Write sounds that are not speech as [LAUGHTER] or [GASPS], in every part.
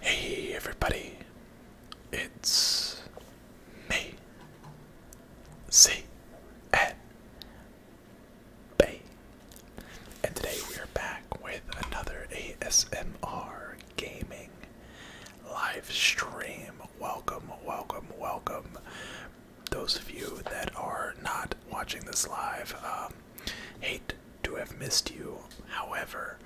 Hey everybody, it's me. And today we are back with another ASMR gaming live stream. Welcome, welcome, welcome. Those of you that are not watching this live, um, hate to have missed you. However,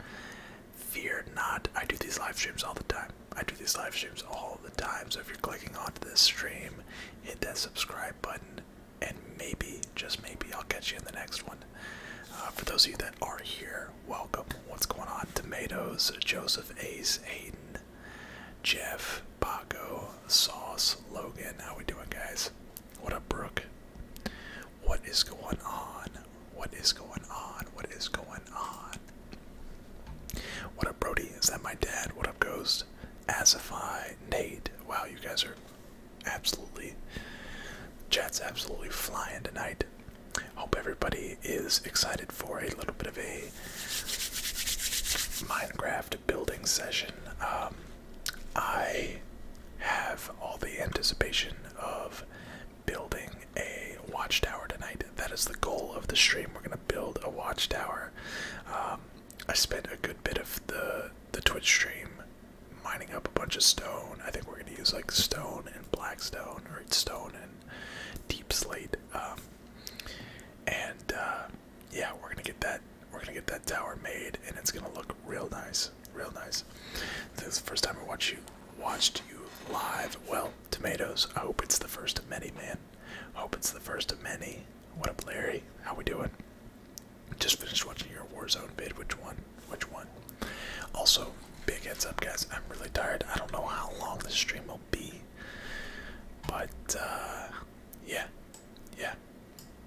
fear not. I do these live streams all the time. I do these live streams all the time, so if you're clicking onto this stream, hit that subscribe button, and maybe, just maybe, I'll catch you in the next one. Uh, for those of you that are here, welcome. What's going on? Tomatoes, Joseph Ace, Aiden, Jeff, Paco, Sauce, Logan. How we doing, guys? What up, Brooke? What is going on? What is going on? What is going what up, Brody? Is that my dad? What up, Ghost? Asify, Nate. Wow, you guys are absolutely. Chat's absolutely flying tonight. Hope everybody is excited for a little bit of a Minecraft building session. Um, I have all the anticipation of building a watchtower tonight. That is the goal of the stream. We're gonna build a watchtower. Um, I spent a good bit of the the Twitch stream mining up a bunch of stone. I think we're gonna use like stone and black stone, or stone and deep slate. Um, and uh, yeah, we're gonna get that. We're gonna get that tower made, and it's gonna look real nice, real nice. This is the first time I watch you watched you live. Well, Tomatoes. I hope it's the first of many, man. Hope it's the first of many. What up, Larry? How we doing? Just finished watching your Warzone vid. Which one? Which one? Also, big heads up, guys. I'm really tired. I don't know how long this stream will be, but uh, yeah, yeah.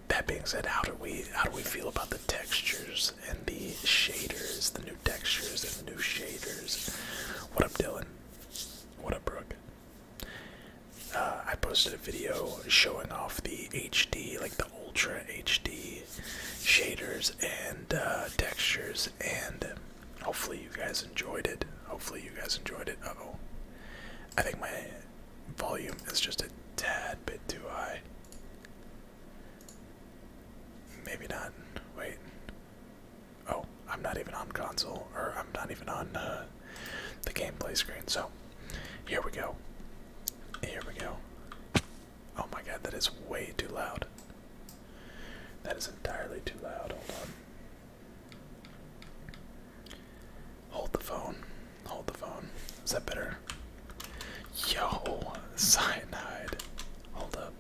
That being said, how do we how do we feel about the textures and the shaders, the new textures and the new shaders? What up, Dylan? What up, Brooke? Uh, I posted a video showing off the HD, like the Ultra HD shaders and uh, textures, and hopefully you guys enjoyed it. Hopefully you guys enjoyed it. oh. I think my volume is just a tad bit too high. Maybe not. Wait. Oh, I'm not even on console, or I'm not even on uh, the gameplay screen. So, here we go. Here we go. Oh my god, that is way too loud. That is entirely too loud. Hold on. Hold the phone. Hold the phone. Is that better? Yo, [LAUGHS] cyanide. Hold up.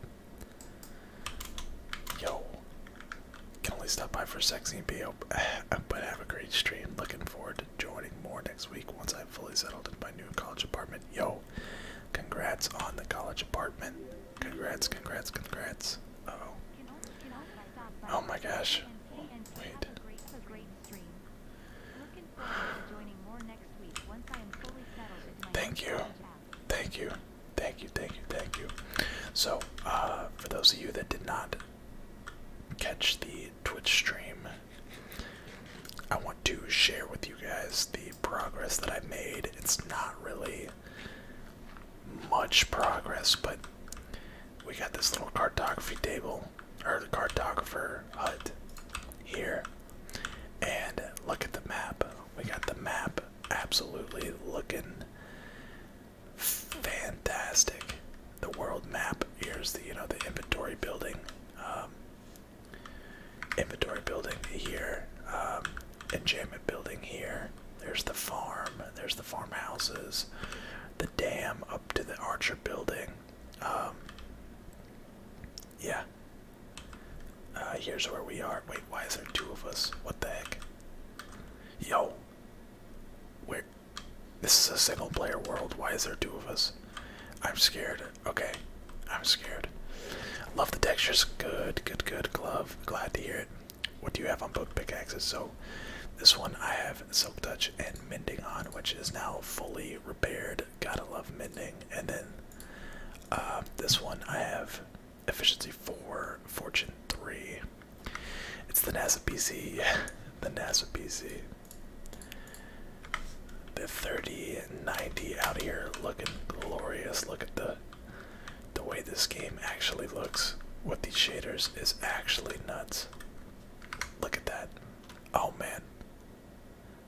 Yo, can only stop by for sex and PO, [SIGHS] but have a great stream. Looking forward to joining more next week once i am fully settled in my new college apartment. Yo, congrats on the college apartment. Congrats, congrats, congrats. oh. Oh my gosh. Wait. [SIGHS] Thank you. Thank you. Thank you, thank you, thank you. So, uh, for those of you that did not catch the Twitch stream, I want to share with you guys the progress that I've made. It's not really much progress, but we got this little cartography table, or the cartographer hut here. And look at the map. We got the map absolutely looking fantastic. The world map. Here's the you know the inventory building, um, inventory building here, um, enchantment building here. There's the farm. There's the farmhouses, the dam up to the archer building. Um, yeah, uh, here's where we are. Wait, why is there two of us? What the heck? Yo. wait. This is a single player world. Why is there two of us? I'm scared. Okay. I'm scared. Love the textures. Good, good, good. Glove. Glad to hear it. What do you have on both pickaxes? So, this one I have Silk Touch and Mending on, which is now fully repaired. Gotta love Mending. And then uh, this one I have efficiency four, fortune three. It's the NASA PC, [LAUGHS] the NASA PC. The thirty and ninety out here looking glorious. Look at the the way this game actually looks with these shaders is actually nuts. Look at that. Oh man.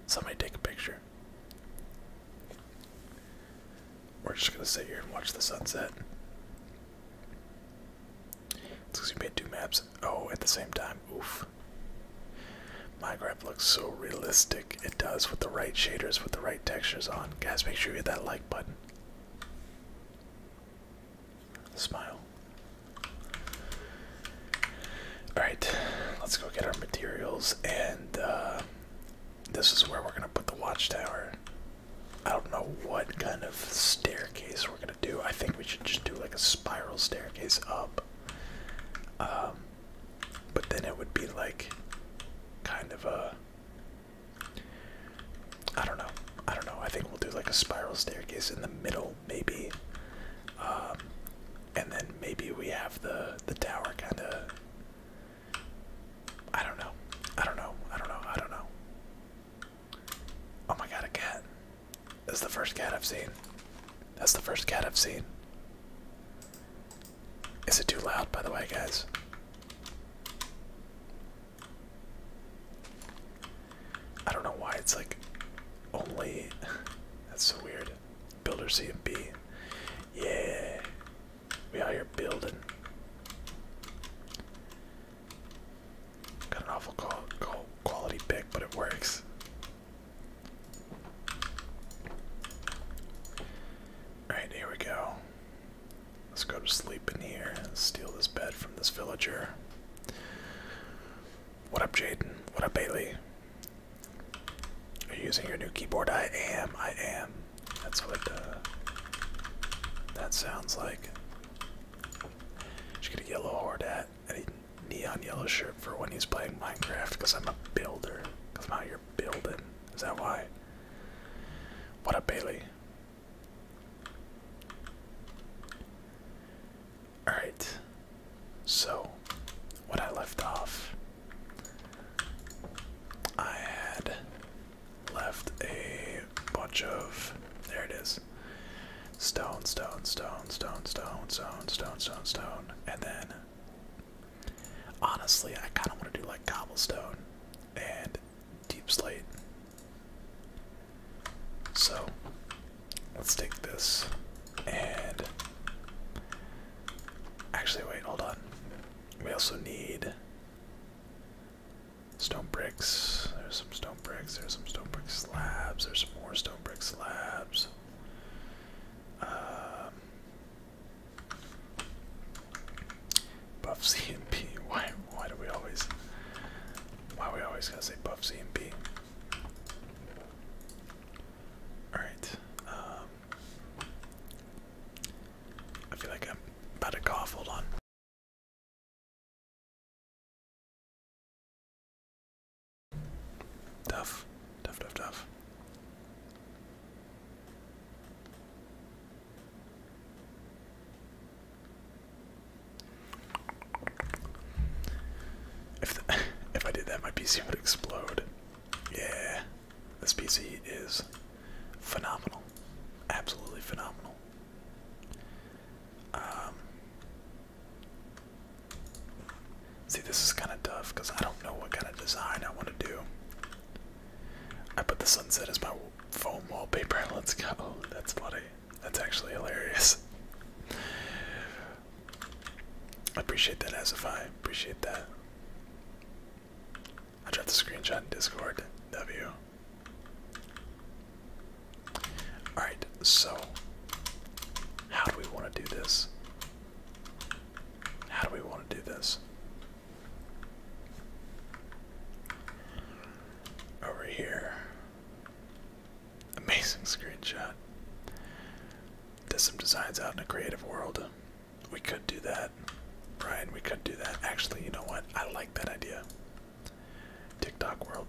Somebody take a picture. We're just gonna sit here and watch the sunset. because you made two maps. Oh, at the same time. Oof. My graph looks so realistic. It does with the right shaders, with the right textures on. Guys, make sure you hit that like button. Smile. Alright, let's go get our materials and uh, this is where we're gonna put the watchtower. I don't know what kind of staircase we're gonna do. I think we should just do like a spiral staircase up. Um, but then it would be like kind of a I don't know. I don't know. I think we'll do like a spiral staircase in the middle, maybe. Um, and then maybe we have the the tower kind of I don't know. I don't know. I don't know. I don't know. Oh my god, a cat. That's the first cat I've seen. That's the first cat I've seen. Is it too loud, by the way, guys? I don't know why it's like only. [LAUGHS] That's so weird. Builder C and B. Yeah. We out here building. Got an awful quality pick, but it works. Alright, here we go. Let's go to sleep in here and steal this bed from this villager. What up, Jaden? What up, Bailey? Are you using your new keyboard? I am, I am. That's what uh, that sounds like. Should get a yellow horde hat and a neon yellow shirt for when he's playing Minecraft because I'm a builder. Because I'm out here building. Is that why? What a Bailey? Alright. So, what I left off, I had left a bunch of there it is stone stone stone stone stone stone stone stone stone and then honestly i kind of want to do like cobblestone and deep slate so let's take this and actually wait hold on we also need Stone bricks. There's some stone bricks. There's some stone brick slabs. There's some more stone brick slabs. Um, buff CMP. [LAUGHS] Why? Why do we always? Why we always gotta say buff CMP? All right. Um, I feel like I'm about to cough. Hold on. Tough, tough, tough, tough. If [LAUGHS] if I did that, my PC would explode. Yeah, this PC is phenomenal, absolutely phenomenal. Um, see, this is kind of tough because I don't know what kind of design I want to do. I put the sunset as my phone wallpaper. Let's go. [LAUGHS] That's funny. That's actually hilarious. I appreciate that, as if I appreciate that. I will drop the screenshot in Discord. W. Alright, so how do we want to do this? How do we want to do this? Over here. Amazing screenshot. Does some designs out in a creative world. We could do that. Brian, we could do that. Actually, you know what? I like that idea. TikTok world.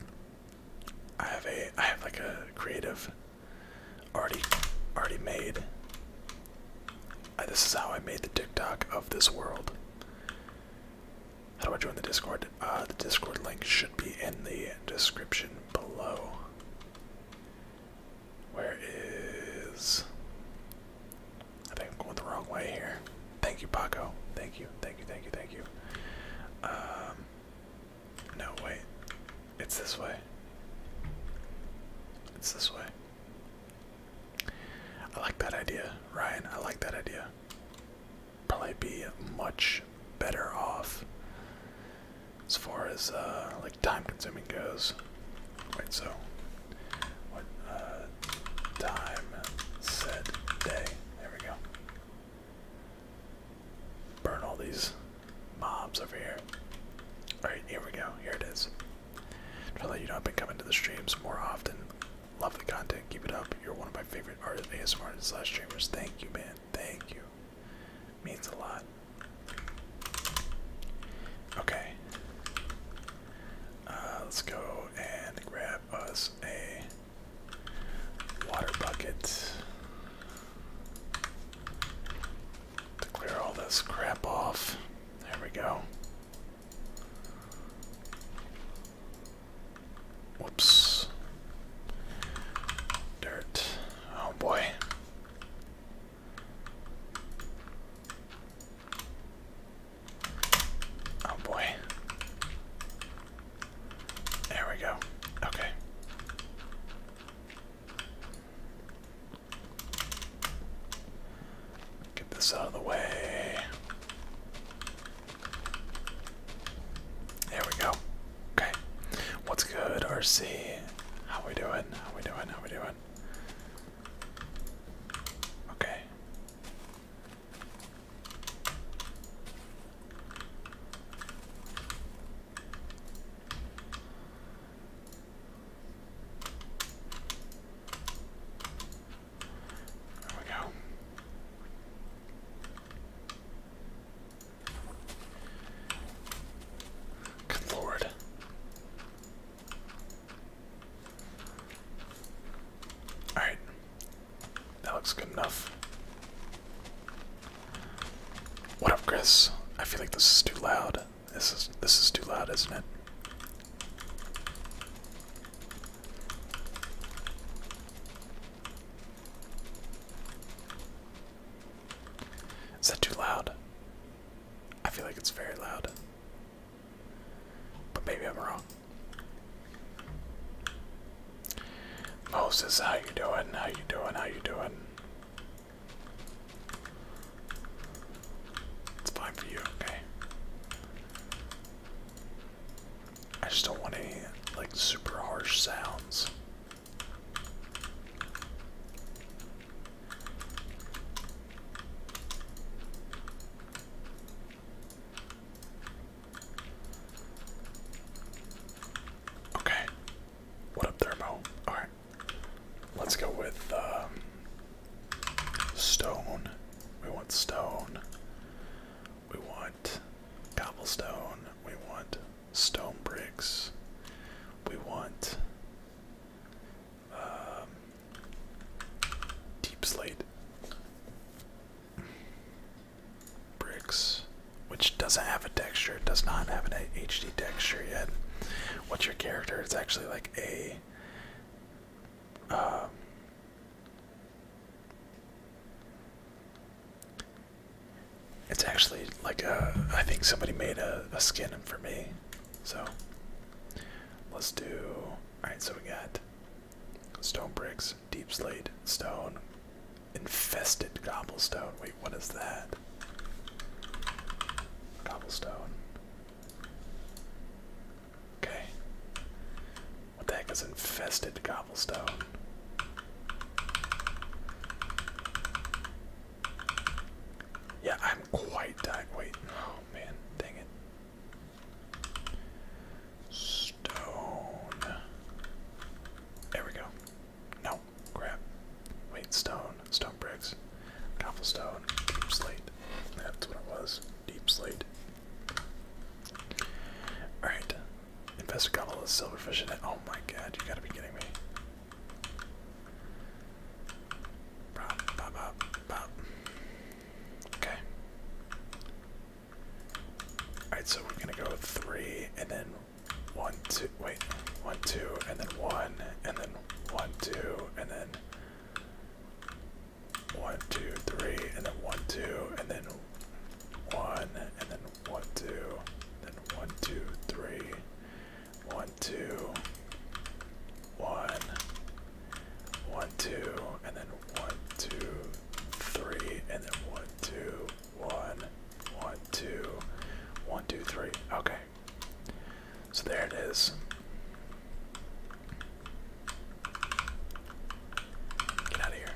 I have a I have like a creative already already made. this is how I made the TikTok of this world. How do I join the Discord? Uh, the Discord link should be in the description below. Where is I think I'm going the wrong way here. Thank you, Paco. Thank you, thank you, thank you, thank you. Um, no, wait. It's this way. It's this way. I like that idea, Ryan. I like that idea. Probably be much better off as far as uh, like time consuming goes. Right. so what time said day? There we go. Burn all these mobs over here. Alright, here we go. Here it is. Feel like you know I've been coming to the streams more often. Love the content. Keep it up. You're one of my favorite artists, ASMR artists slash streamers. Thank you, man. Thank you. Means a lot. Okay. Uh, let's go and grab us a water bucket to clear all this crap off. There we go. Whoops. Dirt. Oh boy. Oh boy. There we go. Okay. Get this out of the way. There we go. Okay. What's good, RC? How we doing? How we doing? How we doing? Okay. There we go. Good lord. Alright. That looks good enough. What up, Chris? I feel like this is too loud. This is this is too loud, isn't it? Is that too loud? I feel like it's very loud. But maybe I'm wrong. Moses, how you doing? How you doing? How you doing? It's fine for you, okay. I just don't want any like super harsh sounds. Okay. What up, Thermo? Alright. Let's go with um, stone. We want stone. We want cobblestone. We want stone bricks. We want um, deep slate bricks, which doesn't have a texture, It does not have an HD texture yet. What's your character? It's actually like a. Um, it's actually like a. I think somebody made a skin for me. So let's do. Alright, so we got Stone bricks, deep slate, stone, infested cobblestone. Wait, what is that? Cobblestone. Okay. What the heck is infested cobblestone? Yeah, I'm quite dying. Wait, oh man, dang it. Stone. There we go. No, crap. Wait, stone. Stone bricks. Cobblestone. Deep slate. That's what it was. Deep slate. Alright. Investor got all the silverfish in it. Oh my god, you gotta be kidding me. Pop, pop, pop, pop. Okay. Alright, so we're gonna go three and then one, two, wait, one, two, and then one, and then one, two, and then one, two, three, and then one, two, and then one, and then one, two, then one, two, three, one, two, one, one, two, and then one, two, three, and then one, two, one, one, two, one, two, three. Okay. So there it is. Get out of here.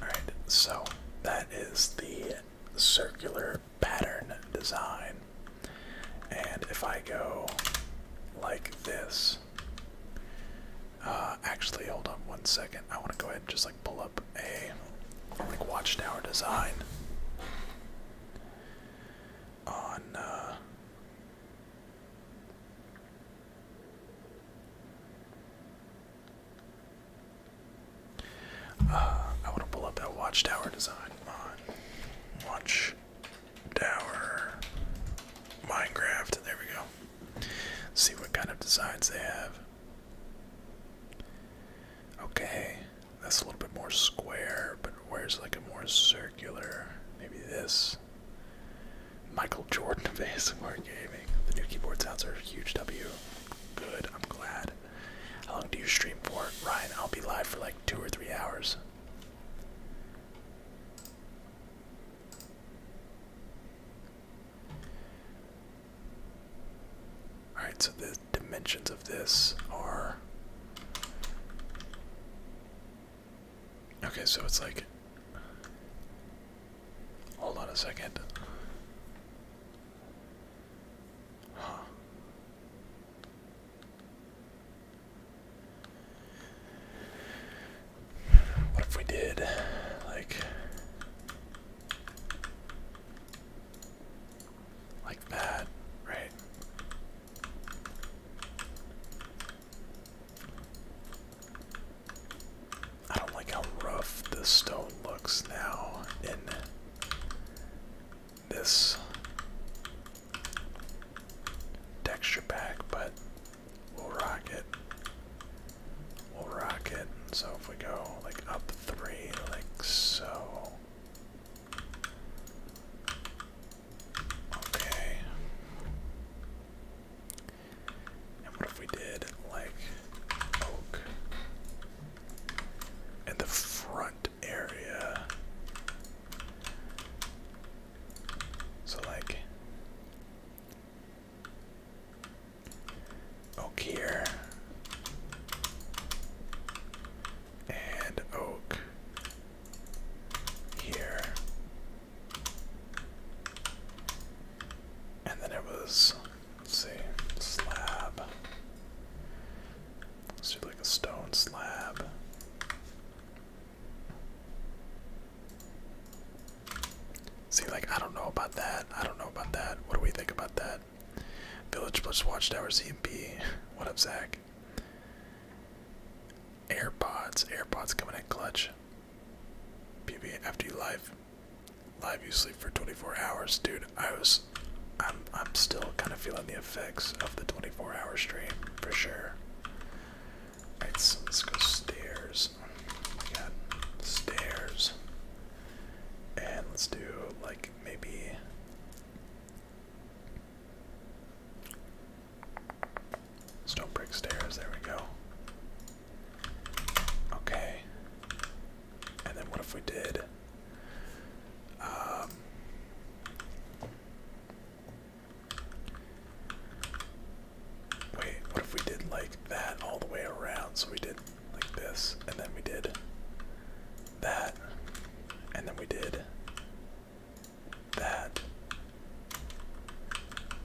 Alright, so that is the circular pattern design. And if I go like this, uh, actually, hold on one second. I want to go ahead and just like pull up a like watchtower design on. Uh, uh, I want to pull up that watchtower design on watch Tower. Minecraft. There we go. see what kind of designs they have. Okay, that's a little bit more square, but where's like a more circular? Maybe this. Michael Jordan vase. of ASMR [LAUGHS] Gaming. The new keyboard sounds are huge W. Good, I'm glad. How long do you stream for? Ryan, I'll be live for like two or three hours. Alright, so the dimensions of this are. Okay, so it's like. Hold on a second. What if we did like like that, right? I don't like how rough the stone looks now in this texture pack, but we'll rock it. We'll rock it. So if we go like up three, like so. Okay. And what if we did like oak in the front area? So like oak here and oak here. And then it was let's see, slab. Let's do like a stone slab. See, like, I don't know about that. I don't know about that. What do we think about that? Village plus Watchtower ZMP. [LAUGHS] What up, Zach? AirPods. AirPods coming at clutch. PB after you live. Live you sleep for 24 hours. Dude, I was I'm I'm still kind of feeling the effects of the 24 hour stream for sure. Alright, so let's go stairs. We got stairs. And let's do like maybe stone brick stairs, there we go. Okay. And then what if we did? Um, Wait, what if we did like that all the way around? So we did like this, and then we did that, and then we did that.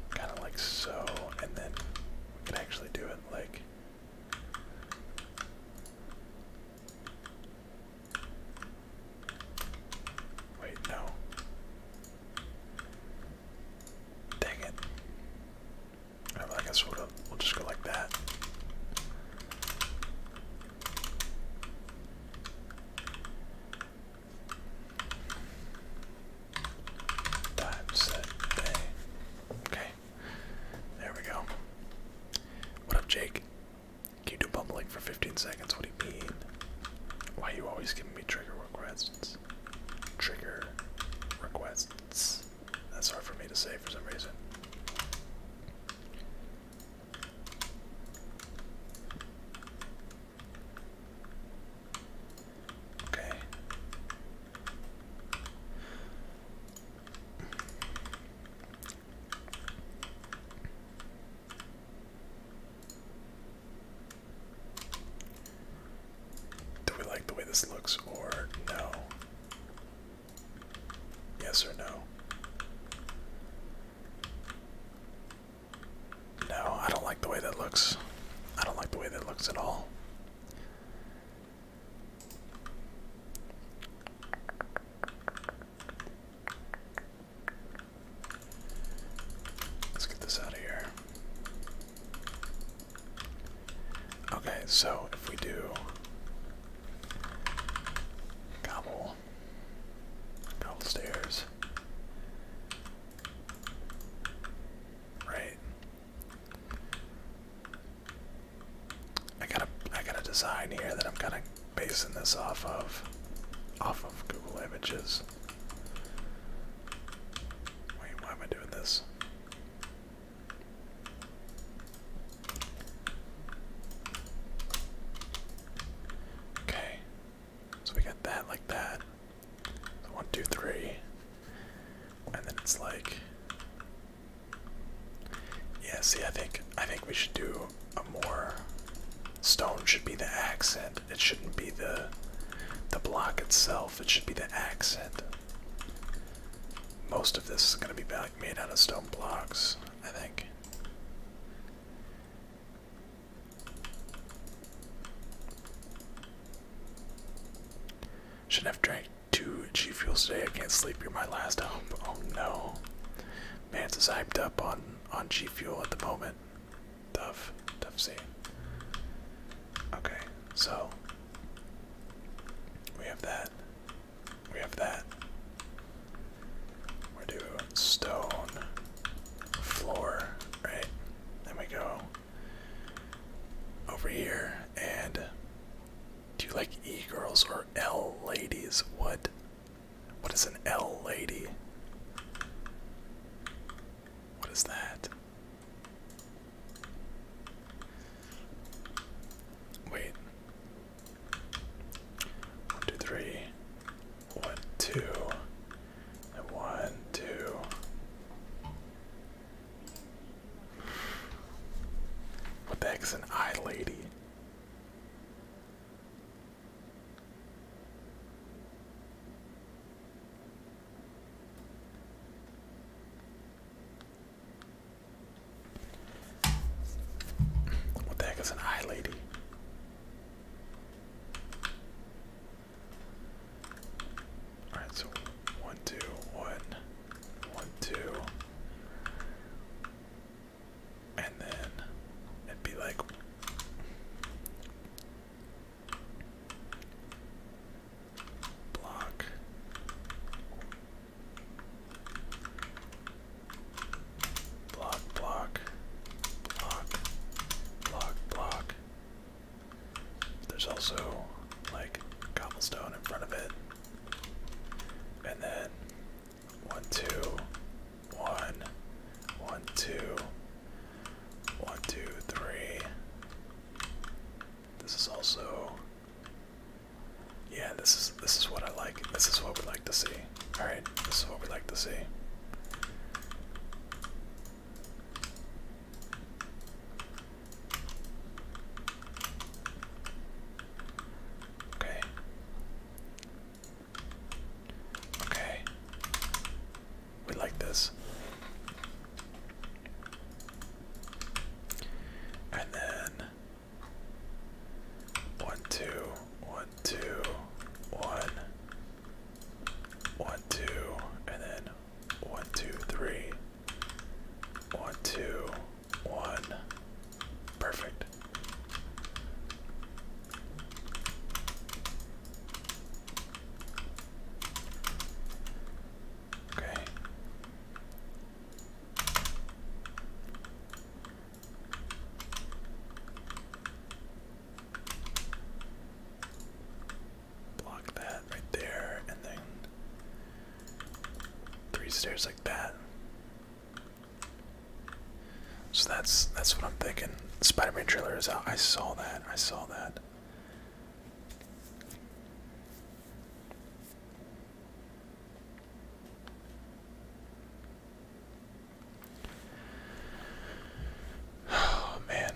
Kind of like so, and then we could actually do it like. Wait, no. Dang it. I guess we'll, just go like that. Time, set, Okay. There we go. What up, Jake? Can you do bumbling for 15 seconds? What do you mean? Why are you always giving me trigger requests? Trigger requests. That's hard for me to say for some reason. Okay. Do we like the way this looks or no? Yes or no? No, I don't like the way that looks. I don't like the way that looks at all. Let's get this out of here. Okay, so if we do gobble, gobble stairs, right? I gotta, gotta design here that I'm gonna basing this off of off of Google Images. Wait, why am I doing this? Okay. So we got that like that. one, two, three. And then it's like Yeah, see I think I think we should do a more stone should be the accent. It shouldn't be the the block itself. It should be the accent. Most of this is going to be made out of stone blocks, I think. Shouldn't have drank two G fuels today. I can't sleep. You're my last hope. Oh no, Mance is hyped up on on G fuel at the moment. Duff, Duff C. Okay, so we have that. We have that. We're stone floor, right? There we go over here and do you like E girls or L ladies? What? What is an L lady? What is that? Wait. One, two, three. One, two. And one, two. What the heck is an eye lady? What the heck is an eye lady? Alright, so one, two, one, one, two. And then it'd be like Block. Block, block, block, block, block. There's also like cobblestone in front of it. And then one, two, one, one, two, one, two, three. This is also yeah, this is this is what I like. This is what we like to see. Alright, this is what we like to see. Okay. Okay. We like this. And then one, two, one, two, one, one, two, and then one, two, three, one, two, one. Perfect. Okay. Block that right there, and then three stairs like that. So that's that's what I'm thinking. Spider-Man trailer is out. I saw that. I saw that. Oh [SIGHS] man.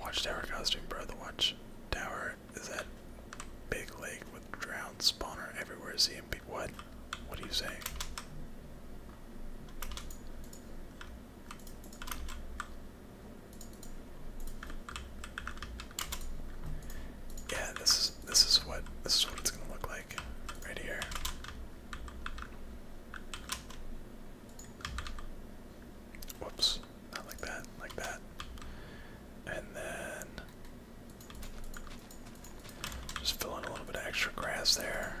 Watchtower costume, bro. The watchtower is that big lake with drowned spawner everywhere. See what? What do you say? Yeah, this is this is what this is what it's gonna look like right here. Whoops, not like that, like that. And then just fill in a little bit of extra grass there.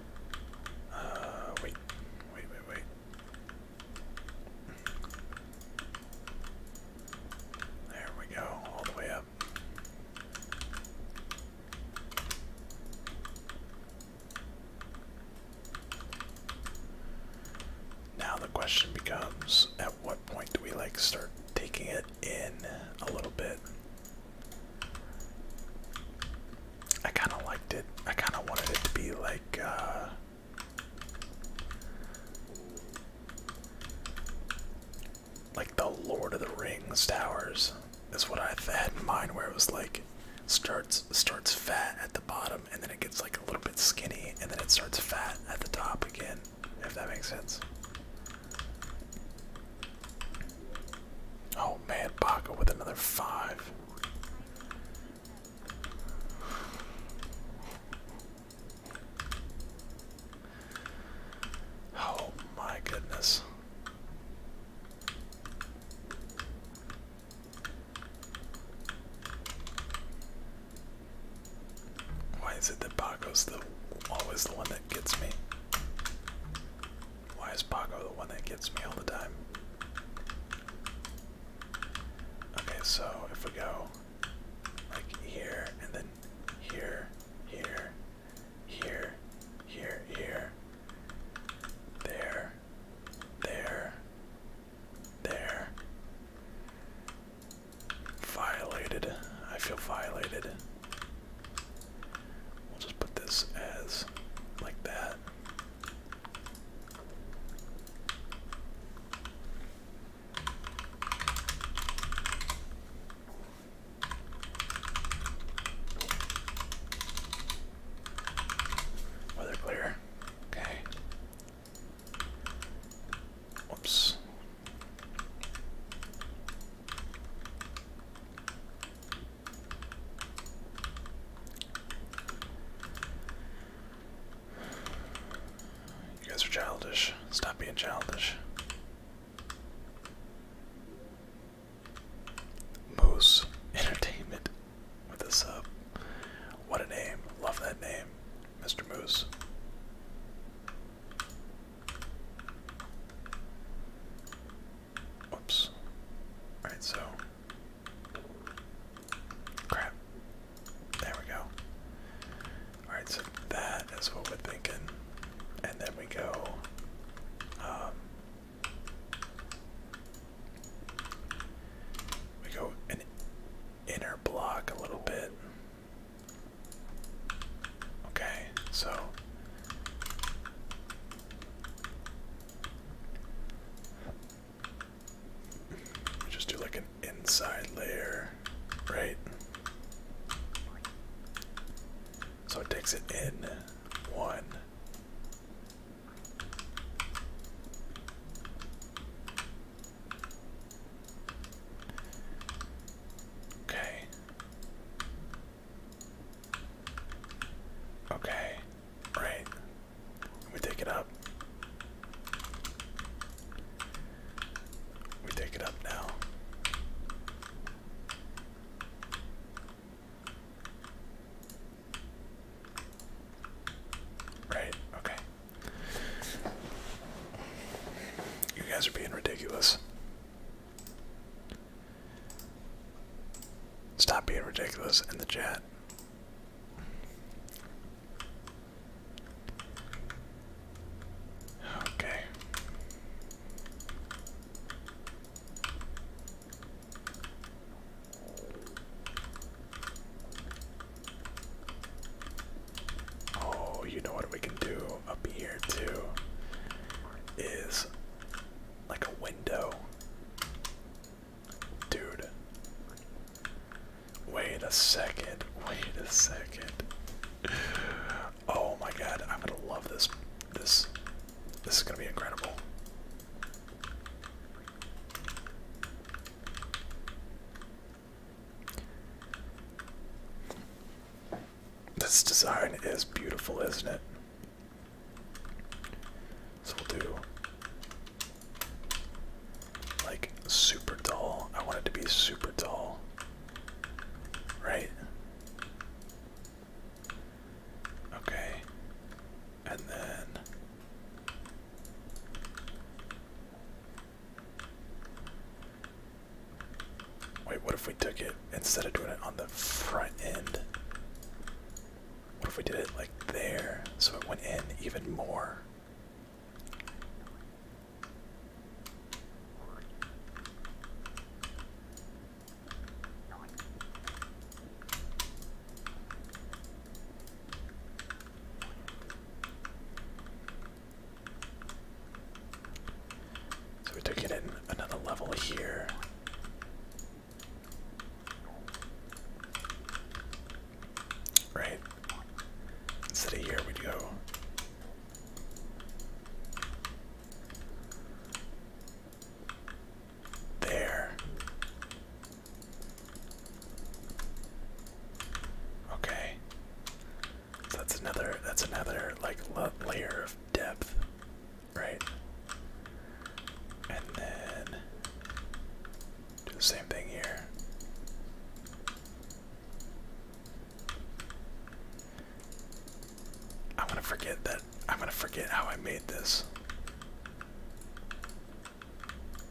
Uh, wait, wait, wait, wait. There we go, all the way up. Now the question becomes, at what point do we like start taking it in a little bit? I kind of liked it. I kind of wanted it to be like, uh, like the Lord of the Rings towers is what I had in mind, where it was like starts starts fat at the bottom and then it gets like a little bit skinny and then it starts fat at the top again. If that makes sense. Oh man, Baca with another five. Oh my goodness. Why is it that Baco's the always the one that gets me? Why is Paco the one that gets me all the time? Okay, so if we go like here and then here, here, here, here, here, there, there, there. Violated. I feel violated. We'll just put this as like that. Weather clear. Okay. Whoops. You guys are childish. Stop being childish. Moose Entertainment with a sub. What a name. Love that name, Mr. Moose. Oops. Alright, so. Crap. There we go. Alright, so that is what we're thinking. And then we go. Um, we go an inner block a little bit. Okay, so just do like an inside layer, right? So it takes it in one. Okay. Okay, right. We take it up. We take it up now. Right, okay. You guys are being ridiculous. Stop being ridiculous in the chat. Okay. Oh, you know what we can do up here too is like a window. Dude. Wait a second. Wait a second. Oh my god, I'm gonna love this. This this is gonna be incredible. This design is beautiful, isn't it? So we'll do like super dull. I want it to be super dull, Right? Okay. And then Wait, what if we took it instead of doing it on the front end? What if we did it like there so it went in even more? So we took it in another level here. Right. Instead of here, we go. There. Okay. that's another. That's another like layer of depth right? And then do the same thing here. I'm gonna forget that. I'm gonna forget how I made this.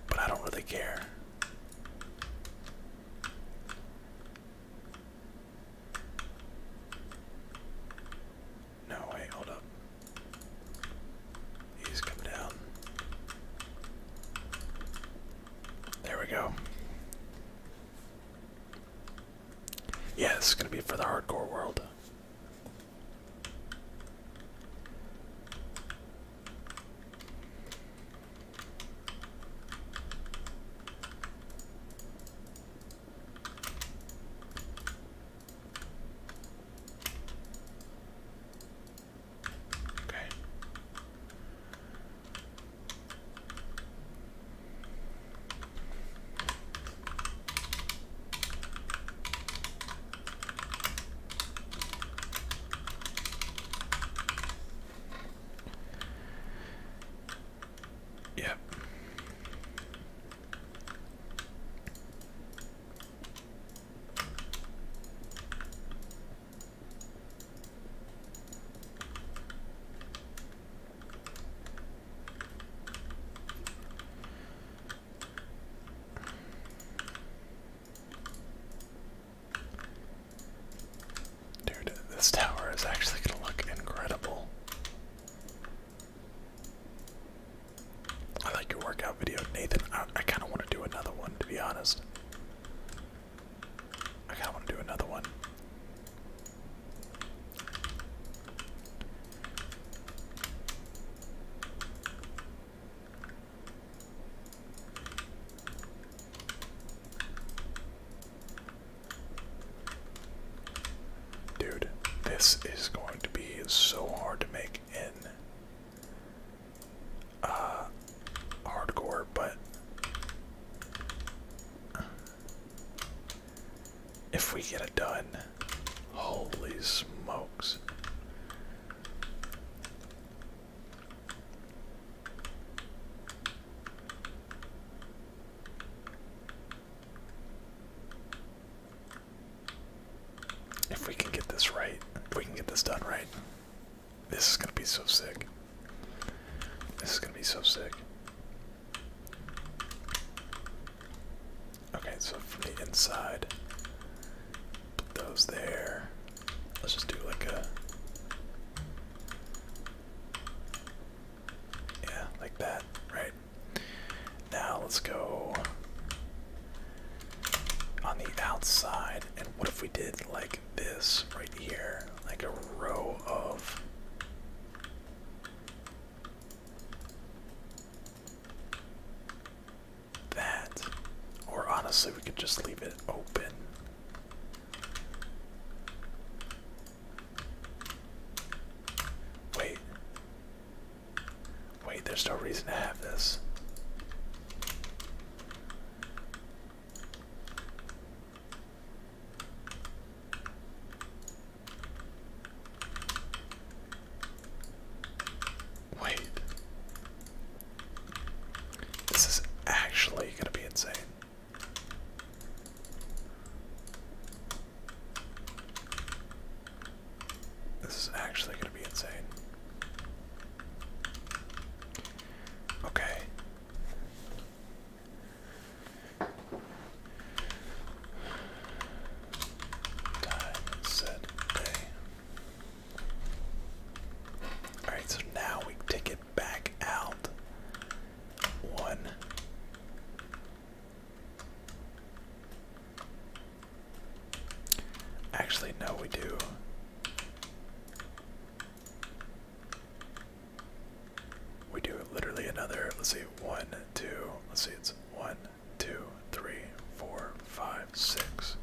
But I don't really care. No, way! hold up. He's coming down. There we go. Yeah, this is going to be for the hardcore world. Okay. Yep. Dude, this tower is actually going to look incredible. I like your workout video, Nathan. I, kind of want to do another one, to be honest. I kind of want to do another one. Dude, this is going to be so hard to make in uh, hardcore, but if we get it done, holy smokes. If we can get this right, if we can get this done right, this is gonna be so sick. This is gonna be so sick. Okay, so from the inside, those there. Let's just do like a. Yeah, like that, right? Now let's go on the outside. And what if we did like this right here? Like a row of. That, or honestly, we could just leave it open. Wait, Wait, there's no reason to have this. Wait. This is actually going to be insane. This is actually going to be insane. Okay. Time set day. Alright, so now we take it back out. One. Actually, no, we do. We do literally another, let's see, one, two, let's see, it's one, two, three, four, five, six.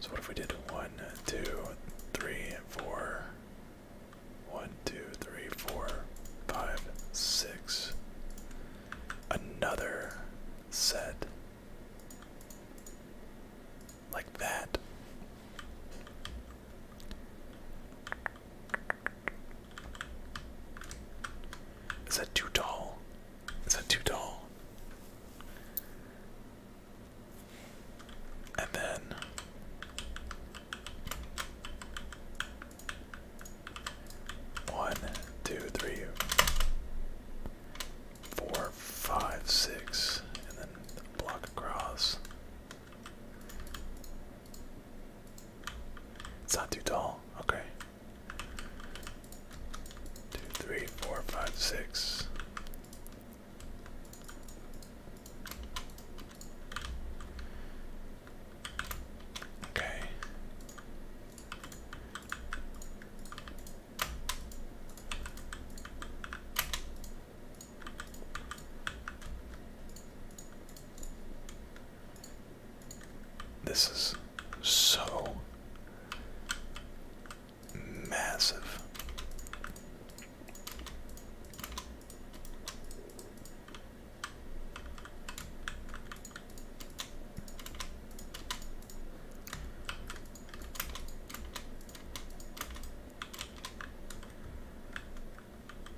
So what if we did one, two, three, four, one, two, three, four, five, six another set like that. Is that too tall? Is that too tall? And then one, two, three, four, five, six, and then block across. It's not too tall. Okay. Two, three, four, five, six. Okay. This is so massive.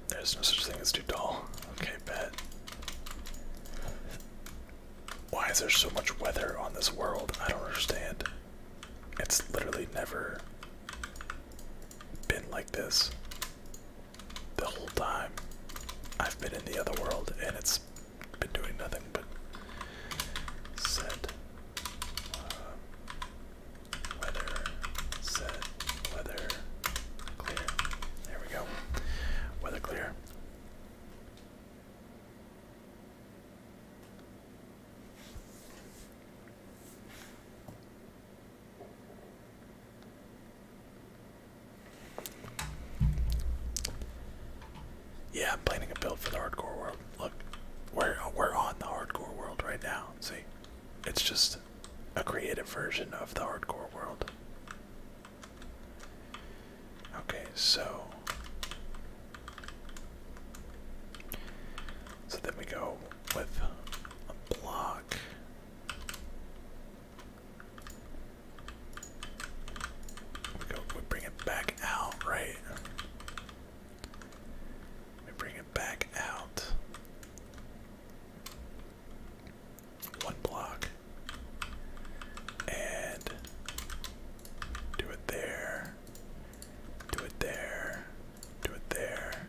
There's no such thing as too tall. Okay, bet. Why is there so much weather on this world? I don't understand. It's literally never been like this the whole time I've been in the other world and it's been doing nothing but set uh, weather, set weather, clear. There we go. Weather clear. Yeah, I'm planning a build for the hardcore world. Look, we're we're on the hardcore world right now. See, it's just a creative version of the hardcore world. Okay, so so then we go with a block. We go. We bring it back out, right? We bring it back out. One block. And do it there. Do it there. Do it there.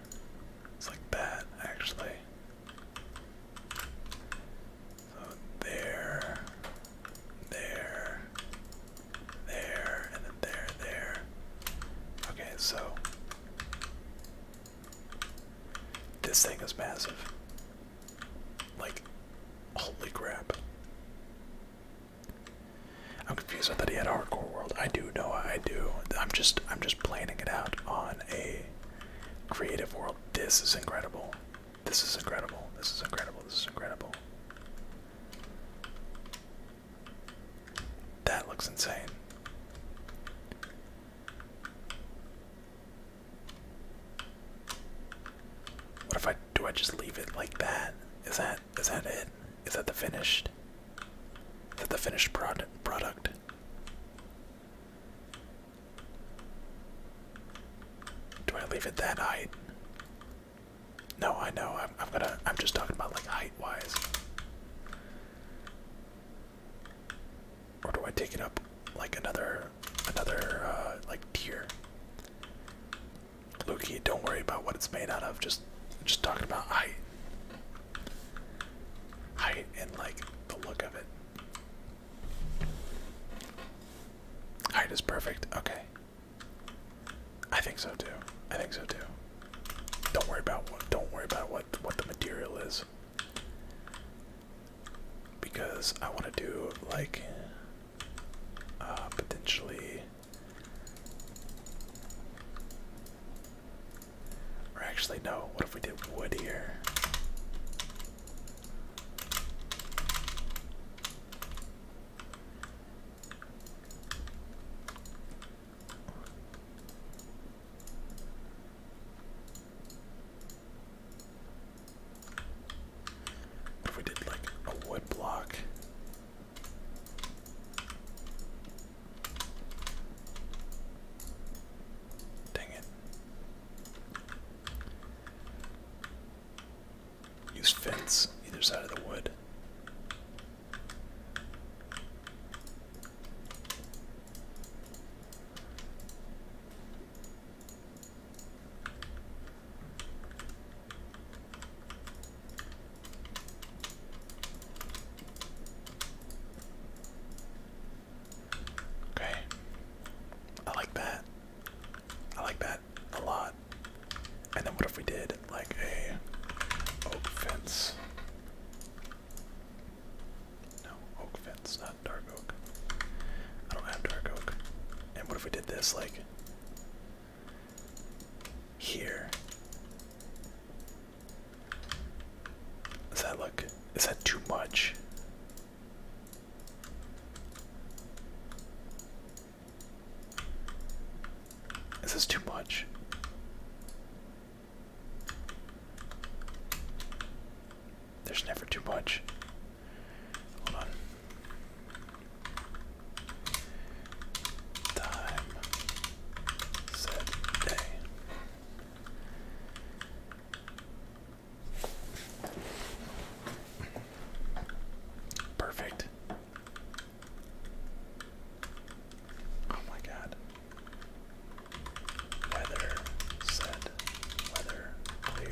It's like that, actually. So there, there, there, and then there, there. Okay, so this thing is massive. Like, holy crap. I'm confused. I that. he had hardcore world. I do know. I do. I'm just. I'm just planning it out on a creative world. This is incredible. This is incredible. This is incredible. This is incredible. That looks insane. What if I do I just leave it like that? Is that is that is that it? Is that the finished? Is that the finished product product? Do I leave it that height? No, I know. I'm, gonna. I'm just talking about like height-wise. Or do I take it up like another, another uh, like tier? Lukey, don't worry about what it's made out of. Just, just talking about height height and like the look of it. Height is perfect. Okay. I think so too. I think so too. Don't worry about what don't worry about what what the material is. Because I want to do like uh, potentially or actually, no. What if we did wood here? What if we did like a wood block Dang it. Use fence either side of the wood. Okay. I like that. I like that a lot. And then what if we did like a oak fence? No, oak fence, not dark oak. I don't have dark oak. And what if we did this like here? Does that look, is that too much? This Is too much? There's never too much. Hold on. Time said Perfect. Oh my god. Weather said weather clear.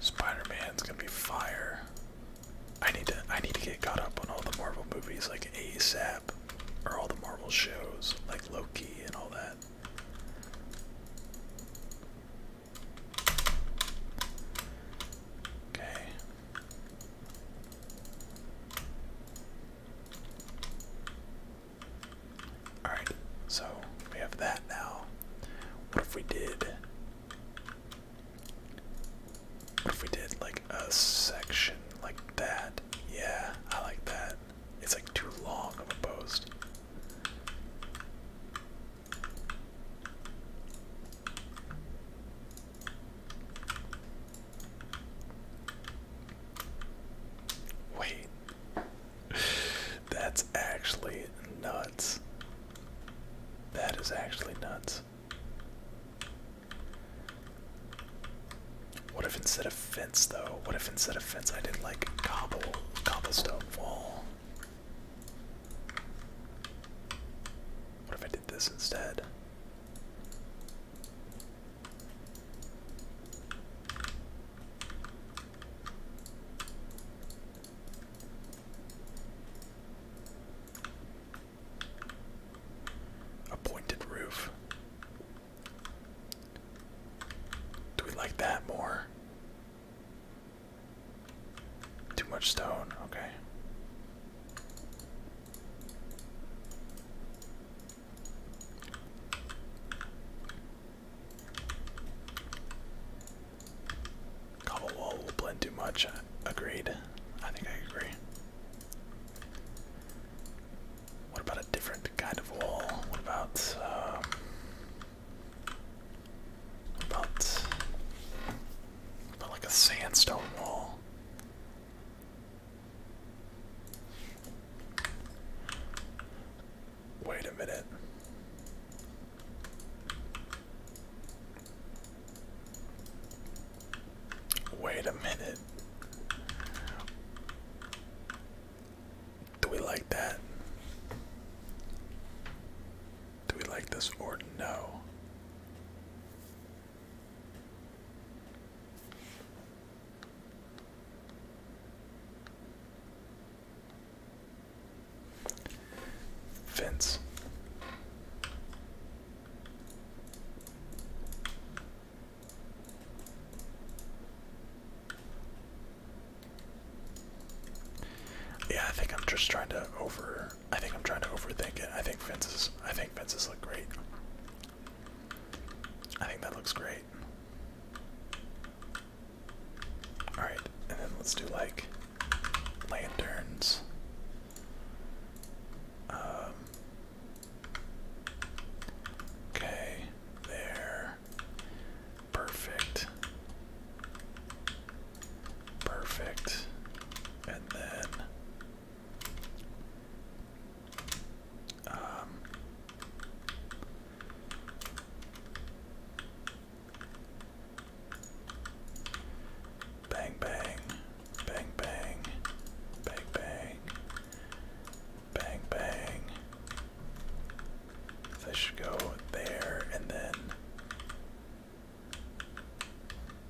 spider man is gonna be fire. I need to I need to get caught up on all the Marvel movies like ASAP or all the Marvel shows like Loki and all that. Okay. Alright, so we have that now. What if we did. What if we did like a section like that? Yeah, I like that. It's like too long of a post. Wait, [LAUGHS] That's actually nuts. That is actually nuts. What if instead of fence though? What if instead of fence I did like cobble cobblestone wall? What if I did this instead? A pointed roof. Do we like that more? Too much stone, okay. Cobble wall will blend too much. Agreed. I think I agree. What about a different kind of wall? What about, um, what about, what about like a sandstone wall? Wait a minute. Wait a minute. Do we like that? Do we like this or no? Fence. Yeah, I think I'm just trying to over I think I'm trying to overthink it. I think Vince's. I think Vince's look great. I think that looks great. Alright, and then let's do like lanterns. Um, okay, there. Perfect. Perfect. And then. Um, Bang bang, bang bang, bang bang, bang bang. This should go there, and then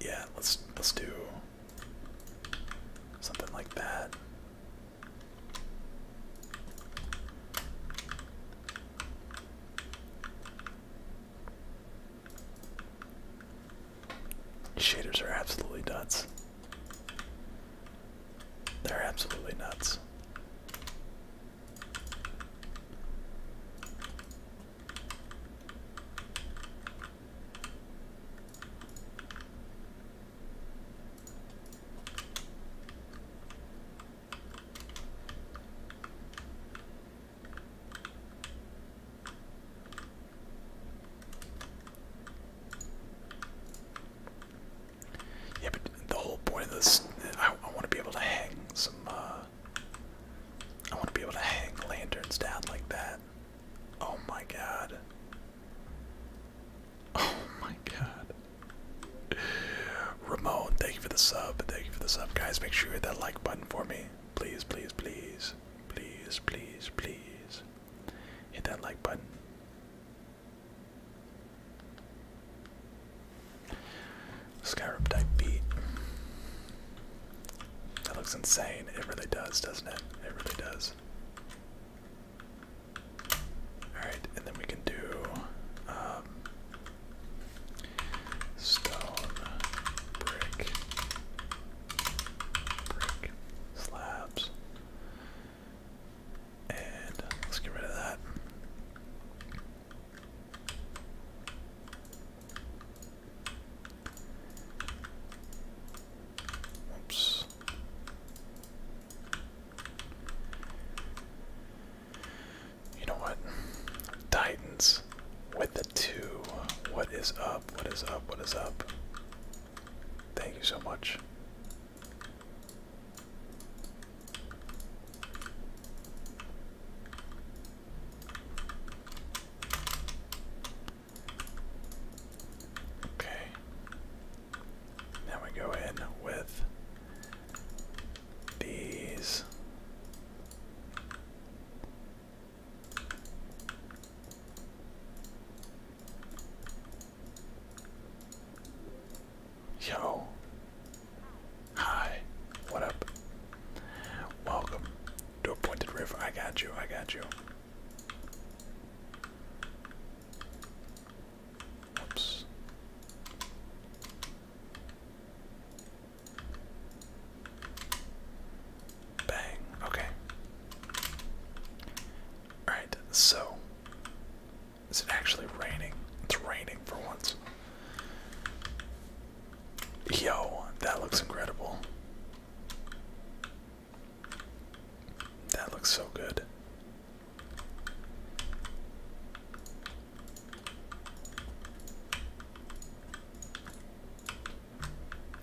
yeah, let's let's do something like that. Shaders are absolutely nuts. They're absolutely nuts. Yeah, but the whole point of this, I, want to be able to hang some, uh, I want to be able to hang lanterns down like that. Oh my god. [LAUGHS] Oh my god. Ramon, thank you for the sub. Thank you for the sub. Guys, make sure you hit that like button for me. Please, please, please. Please, please, please. Hit that like button. Skyrim type beat. That looks insane. It really does, doesn't it? It really does. Alright, and then we can do um, stone, brick, brick, slabs. And let's get rid of that. Oops. You know what? Titans with the two. What is up? What is up? What is up? Thank you so much. Okay. Now we go in with these. Yo. Hi. What up? Welcome to a pointed roof. I got you. I got you. Oops! Bang. Okay. Alright, so. Is it actually raining? It's raining for once. Yo, that looks incredible. That looks so good.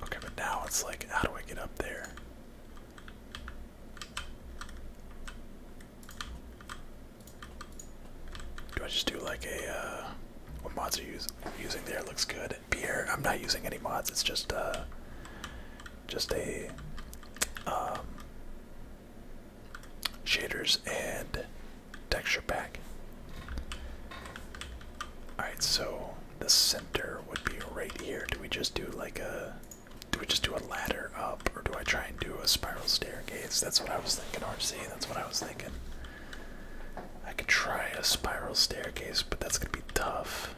Okay, but now it's like, how do I get up there? Do I just do like a, uh, what mods are you using there? Looks good. Beer, I'm not using any mods, it's just, uh, just a, um, shaders and texture pack. Alright, so the center would be right here. Do we just do like a do we just do a ladder up or do I try and do a spiral staircase? That's what I was thinking, RC. That's what I was thinking. I could try a spiral staircase, but that's gonna be tough.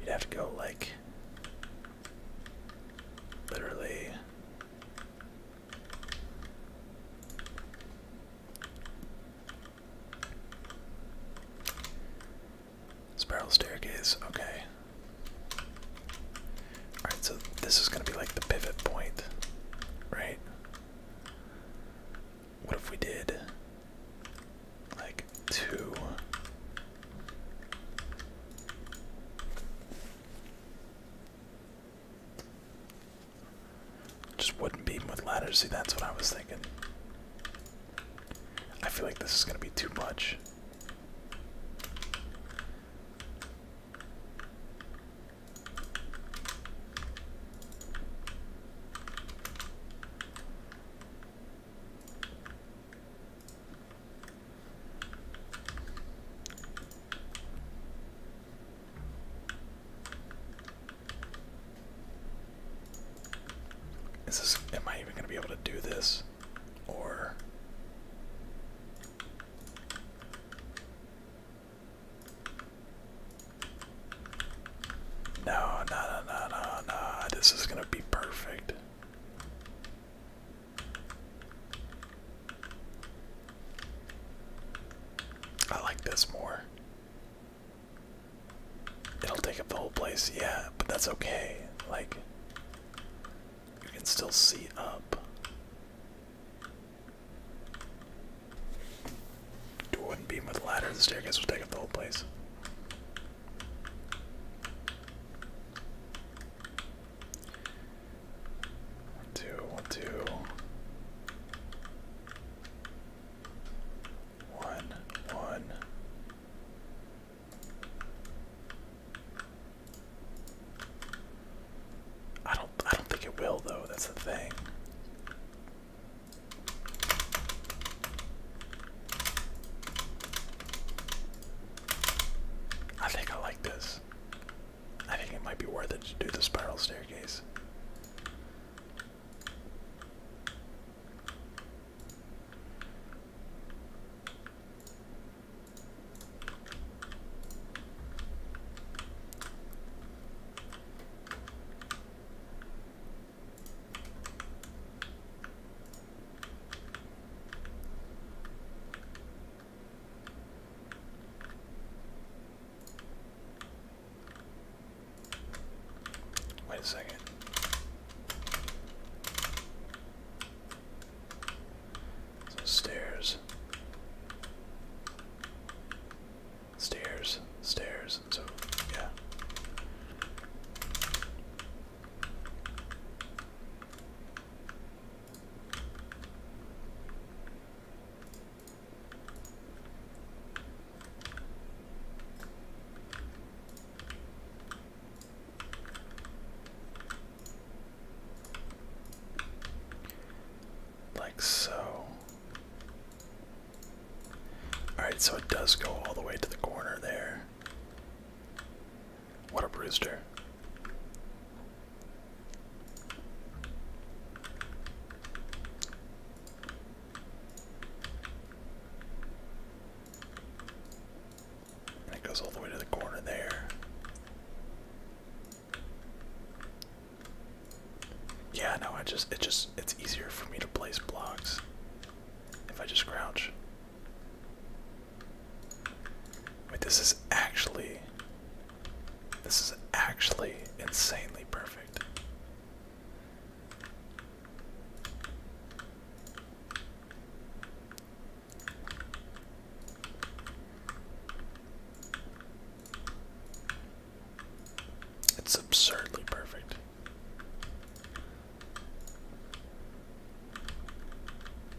You'd have to go like Literally. Spiral staircase, okay. Alright, so this is gonna be like the pivot point, right? What if we did like two just wouldn't beat with ladders. See, that's what I was thinking. I feel like this is going to be too much. Is this am I even gonna be able to do this? Or no, no, no, no, no, This is gonna be perfect. I like this more. It'll take up the whole place, yeah, but that's okay. Like, you can still see up. Do a wooden beam with ladder, the staircase will take up the whole place. One, two, one, two. I don't I don't think it will though, that's the thing. I think I like this. I think it might be worth it to do the spiral staircase. Wait a second. stairs. Stairs, stairs, so yeah. Like so. Alright, so it does go all the way to the corner there. What a bruiser! it goes all the way to the corner there. Yeah, no, I just it just it's easier for me to place blocks if I just crouch. Wait, this is actually. This is actually insanely perfect. It's absurdly perfect.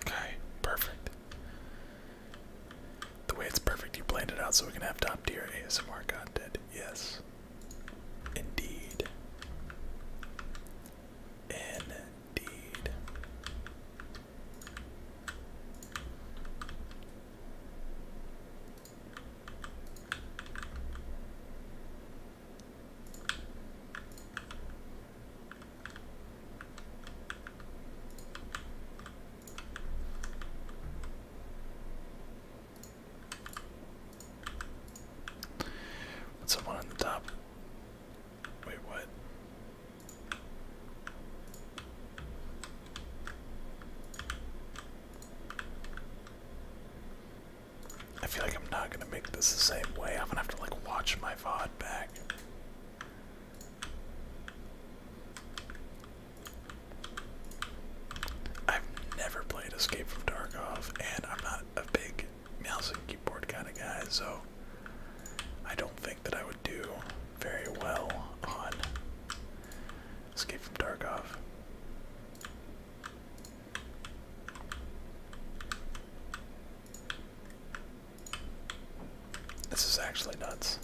Okay, perfect. The way it's perfect, you planned it out so we can have top tier ASMR content. Yes. Indeed. Indeed. What's someone on the top? Wait, what? I feel like I'm not gonna make this the same way. I'm gonna have to like watch my VOD back. I've never played Escape from Darkov, and I'm not a big mouse and keyboard kind of guy, so I don't think that I would do very well on Escape from Darkov. This is actually nuts.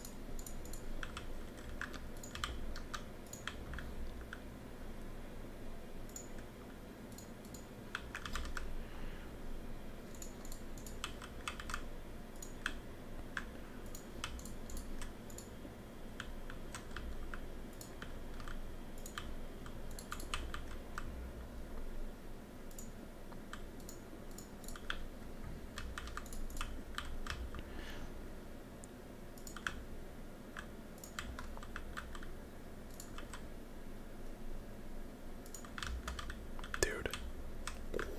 Dude,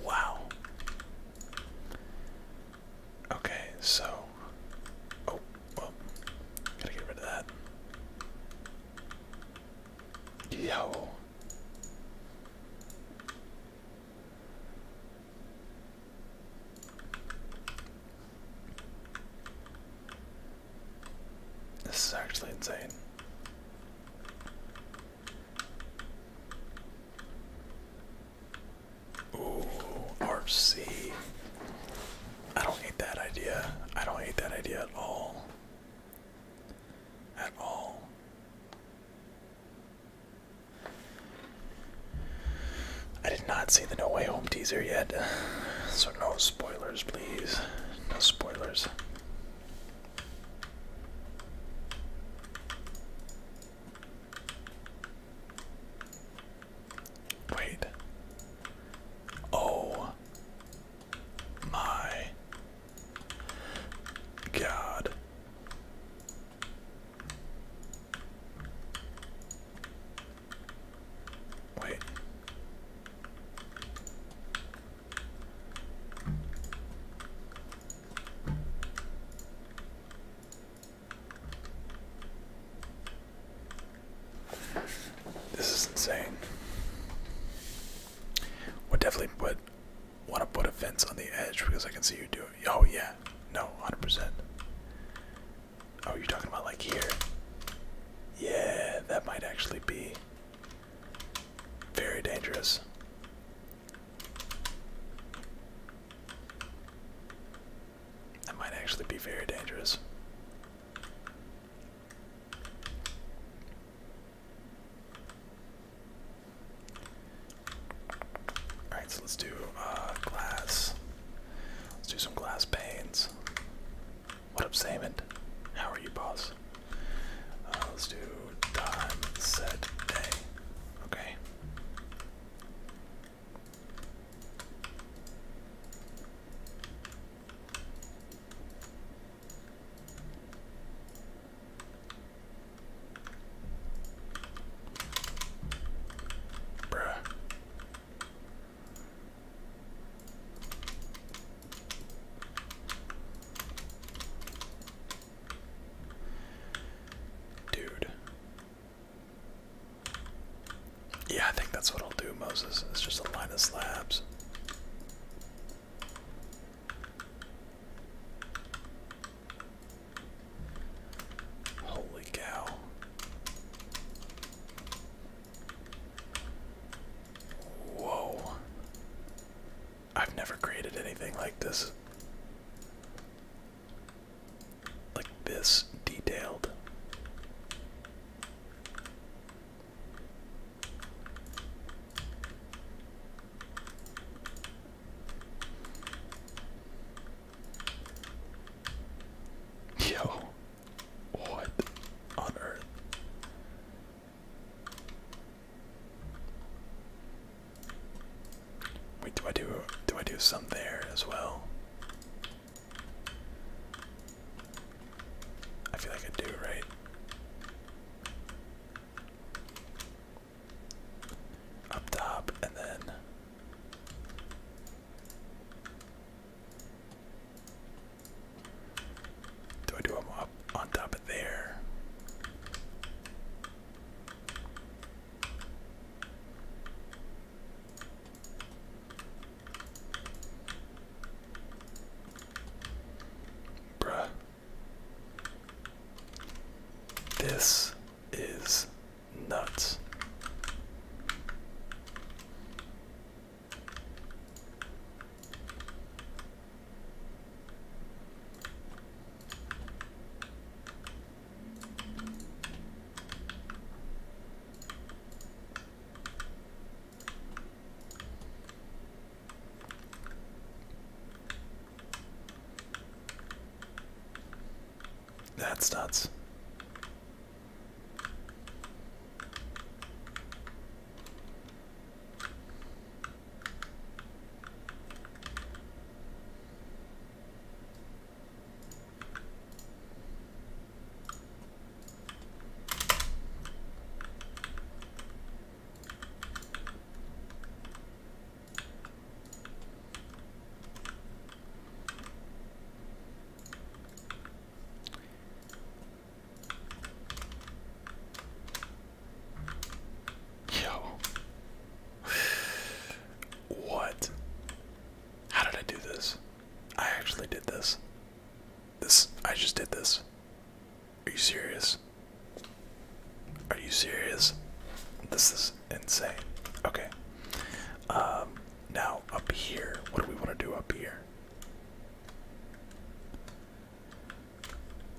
wow. Okay, so. Oh, well, gotta get rid of that. Yo. This is actually insane. Ooh, RC. I don't hate that idea. I don't hate that idea at all at all. I did not see the No Way Home teaser yet, so no spoilers, please. No spoilers. Wait. Oh. My God. Wait. This is insane. We definitely put want to put a fence on the edge because I can see you do it. Oh yeah, no, hundred percent. Oh, you're talking about like here? Yeah, that might actually be very dangerous. That might actually be very dangerous. All right, so let's do uh, glass. Let's do some glass panes. What up, Saman? How are you, boss? Uh, let's do time day. Okay. Bruh. Dude. Yeah, I think that's what I'll do, Moses. It's just a line of slabs. Holy cow. Whoa. I've never created anything like this. Like this detailed. Yo, what on earth? Wait, do I do do I do some there as well? I feel like I do, right? Up top, and then. Do I do them up on top of there? Bruh. This is nuts. That starts. Yo. what? How did I do this? I actually did this. This I just did this. Are you serious? Are you serious? This is insane. Okay. Um, now, up here, what do we want to do up here?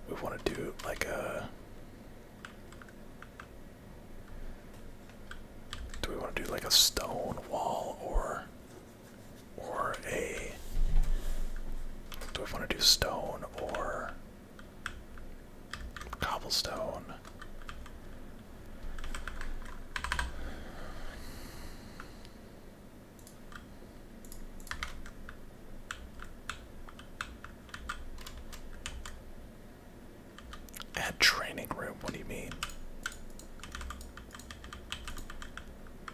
We want to do like a. Uh, do we want to do like a stone wall or or a do we want to do stone or cobblestone? Add training room, what do you mean?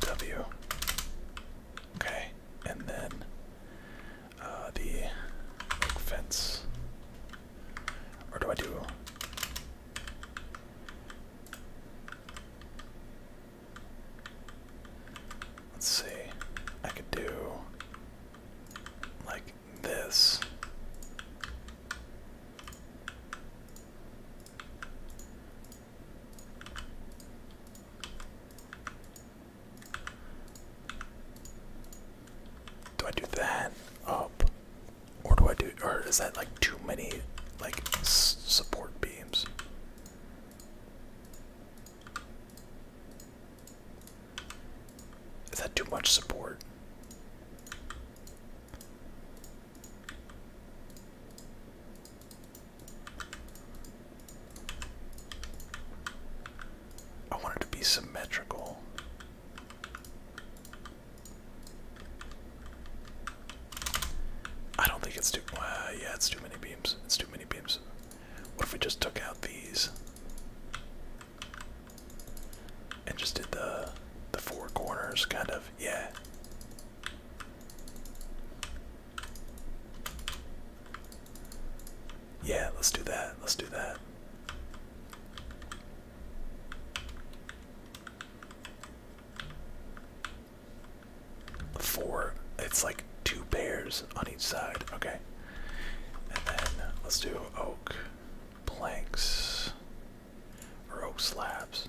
W. Okay, and then uh, the fence. Or do I do? Let's see. I could do like this. Do I do that up? Or do I do, or is that like too many like support beams? Is that too much support? I want it to be symmetrical. I don't think it's too. Uh, yeah, it's too many beams. It's too many beams. What if we just took out these and just did the the four corners, kind of? Yeah. Yeah, let's do that. Let's do that. Four. It's like two pairs on each side. Okay. And then let's do oak planks or oak slabs.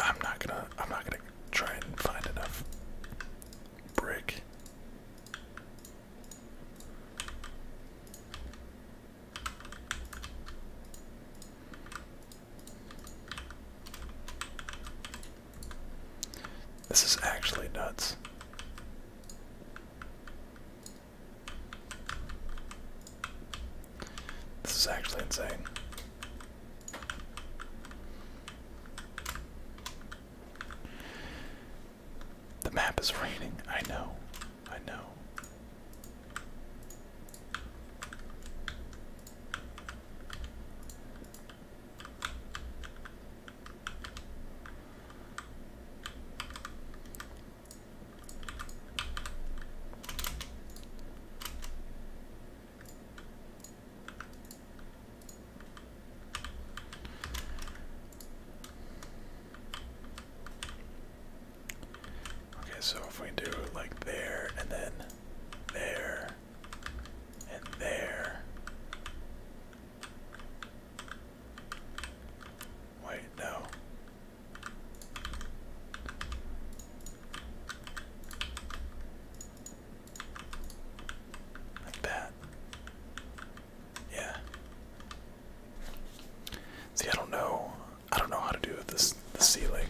I'm not gonna I'm not gonna try and find enough brick. This is actually nuts. This is actually insane. The map is raining. I know. I know. Okay, so if we do like there and then there and there Wait, no. Like that. Yeah. See, I don't know. I don't know how to do this. The ceiling.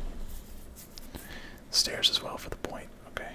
Stairs as well for the point. Okay.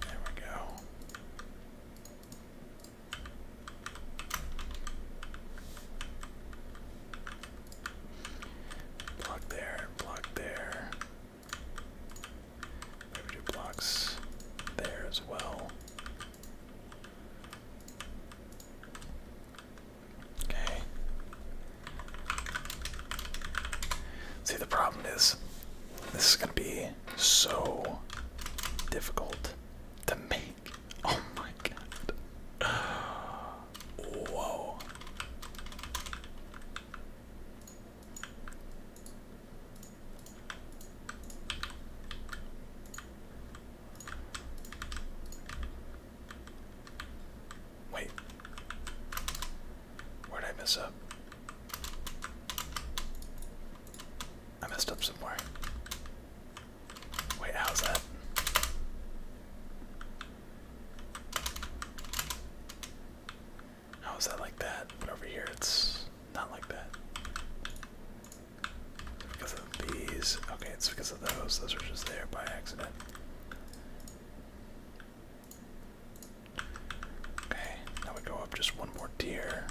There we go. Block there, block there. Maybe two blocks there as well. Okay. See, the problem is, this is going to be so difficult to make. [LAUGHS] Oh my god. Whoa. Wait. Where'd I mess up? I messed up somewhere. Wait, how's that? How is that like that? But over here it's not like that. Because of these. Okay, it's because of those. Those are just there by accident. Okay, now we go up just one more tier.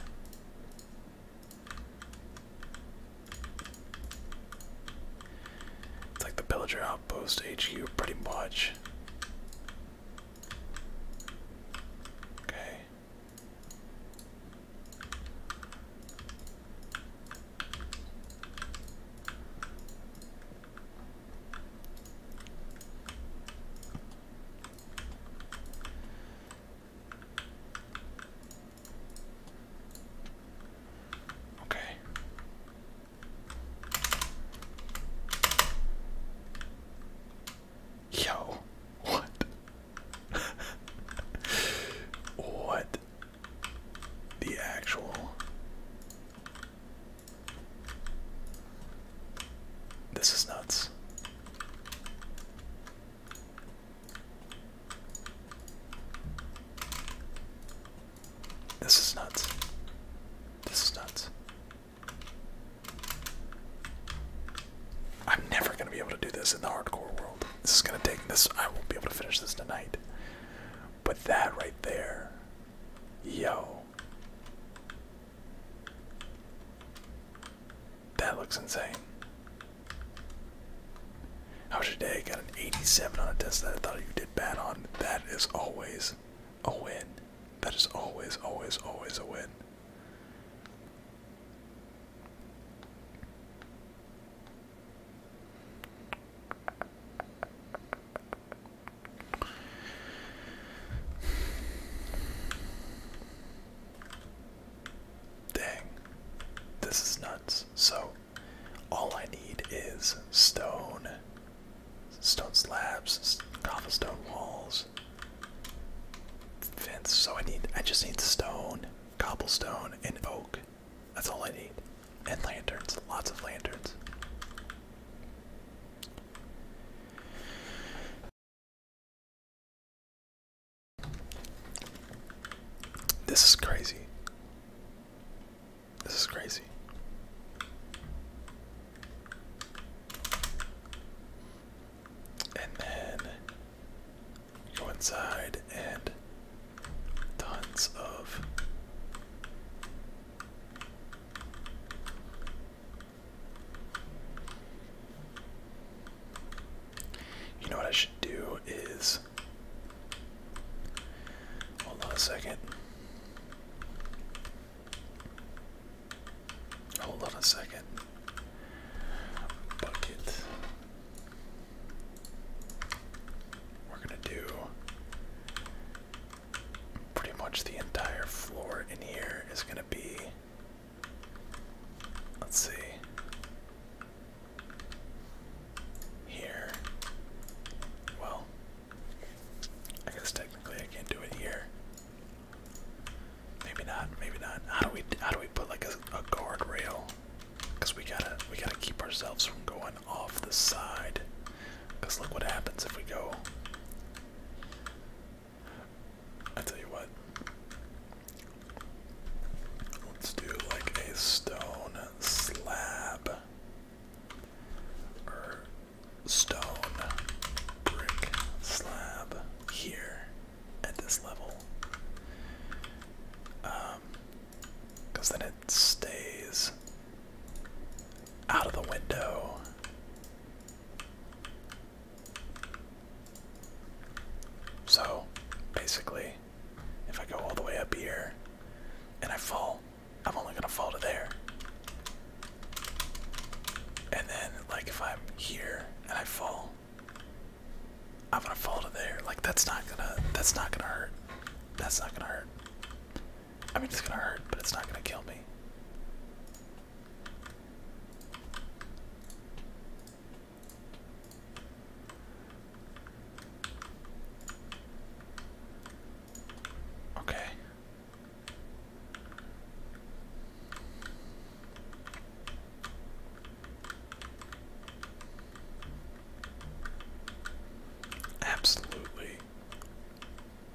It's like the pillager outpost HQ pretty much. Okay. Okay. Yo, what? [LAUGHS] what the actual this is nuts. This is nuts. This is nuts. I'm never gonna be able to do this in the hardcore world. This is gonna take this. I won't be able to finish this tonight. But that right there Yo. That looks insane. How's your day? Got an 87 on a test that I thought you did bad on. That is always a win. That is always, always, always a win. Dang. This is nuts. So all I need is stone, stone slabs, cobblestone walls, fence. So I need I just need stone, cobblestone, and oak. That's all I need. And lanterns, lots of lanterns. This is crazy. This is crazy. And then go inside and tons of you know what I should do is. Hold on a second. Hold on a second. Bucket. We're going to do pretty much the entire floor in here is going to be. Let's see. Here. Well, I guess technically I can't do it here. Maybe not. Maybe not. How do we? How do we put like a, a guard rail? Because we gotta. We gotta keep ourselves from going off the side. Because look what happens if we go. I tell you what. Let's do like a stone slab. Or stone brick slab here at this level. Um because then it stays out of the window. So basically, if I go all the way up here and I fall, I'm only going to fall to there. And then, like, if I'm here and I fall, I'm gonna fall to there. Like that's not gonna that's not gonna hurt. That's not gonna hurt. I mean, it's gonna hurt, but it's not gonna kill me. Okay. Absolutely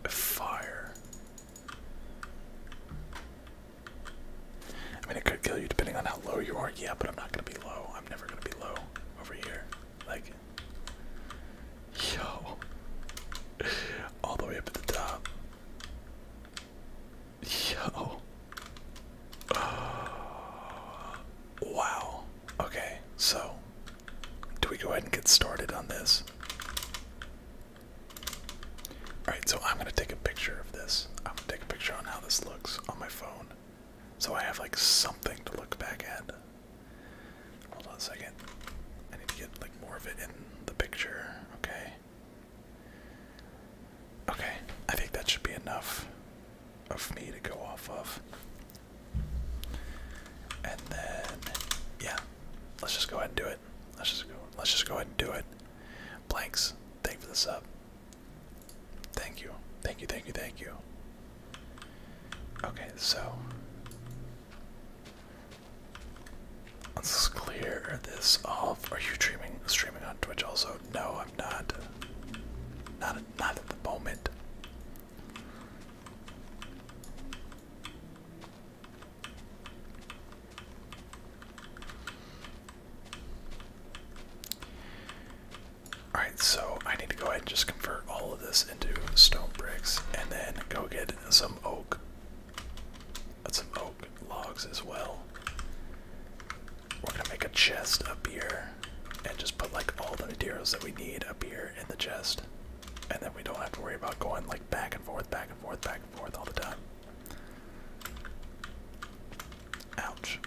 fire. I mean, it could kill you depending on how low you are. Yeah, but I'm not gonna be low. I'm never gonna be low over here. Like, yo, [LAUGHS] all the way up at the top. Yo. [GASPS] Wow. Okay, so do we go ahead and get started on this? Alright, so I'm going to take a picture of this. I'm going to take a picture on how this looks on my phone. So I have like something to look back at. Hold on a second. I need to get like more of it in the picture. Okay. Okay, I think that should be enough of me to go off of. And then yeah, let's just go ahead and do it. Let's just go let's just go ahead and do it. Blanks, thank you for the sub. Thank you. Thank you, thank you, thank you. Okay, so Let's clear this off. Are you streaming streaming on Twitch also? No, I'm not. Not not at the moment. Alright, so I need to go ahead and just convert all of this into stone bricks and then go get some oak. Some oak logs as well. We're gonna make a chest up here and just put like all the materials that we need up here in the chest and then we don't have to worry about going like back and forth, back and forth, back and forth all the time. Ouch.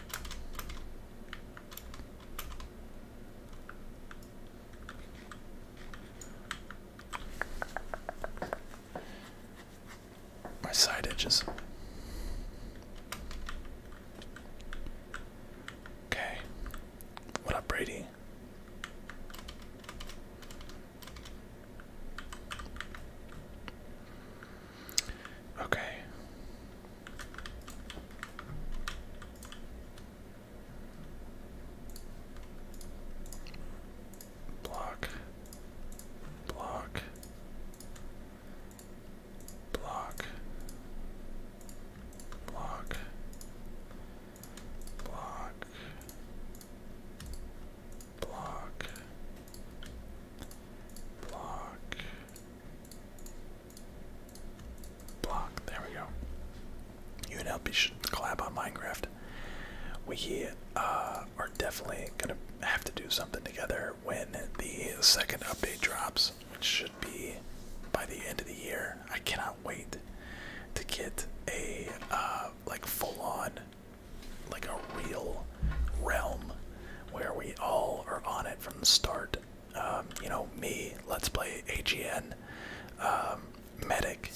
My side edges. Okay. What up, Brady? Okay. Block. Block. Block. Block block, block, block, block. There we go. You and LP should collab on Minecraft. We uh, are definitely gonna have to do something together when the second update drops, which should be by the end of the year. I cannot wait to get a uh, like full-on, like a real realm where we all are on it from the start. Um, you know, me, let's play AGN, um, medic.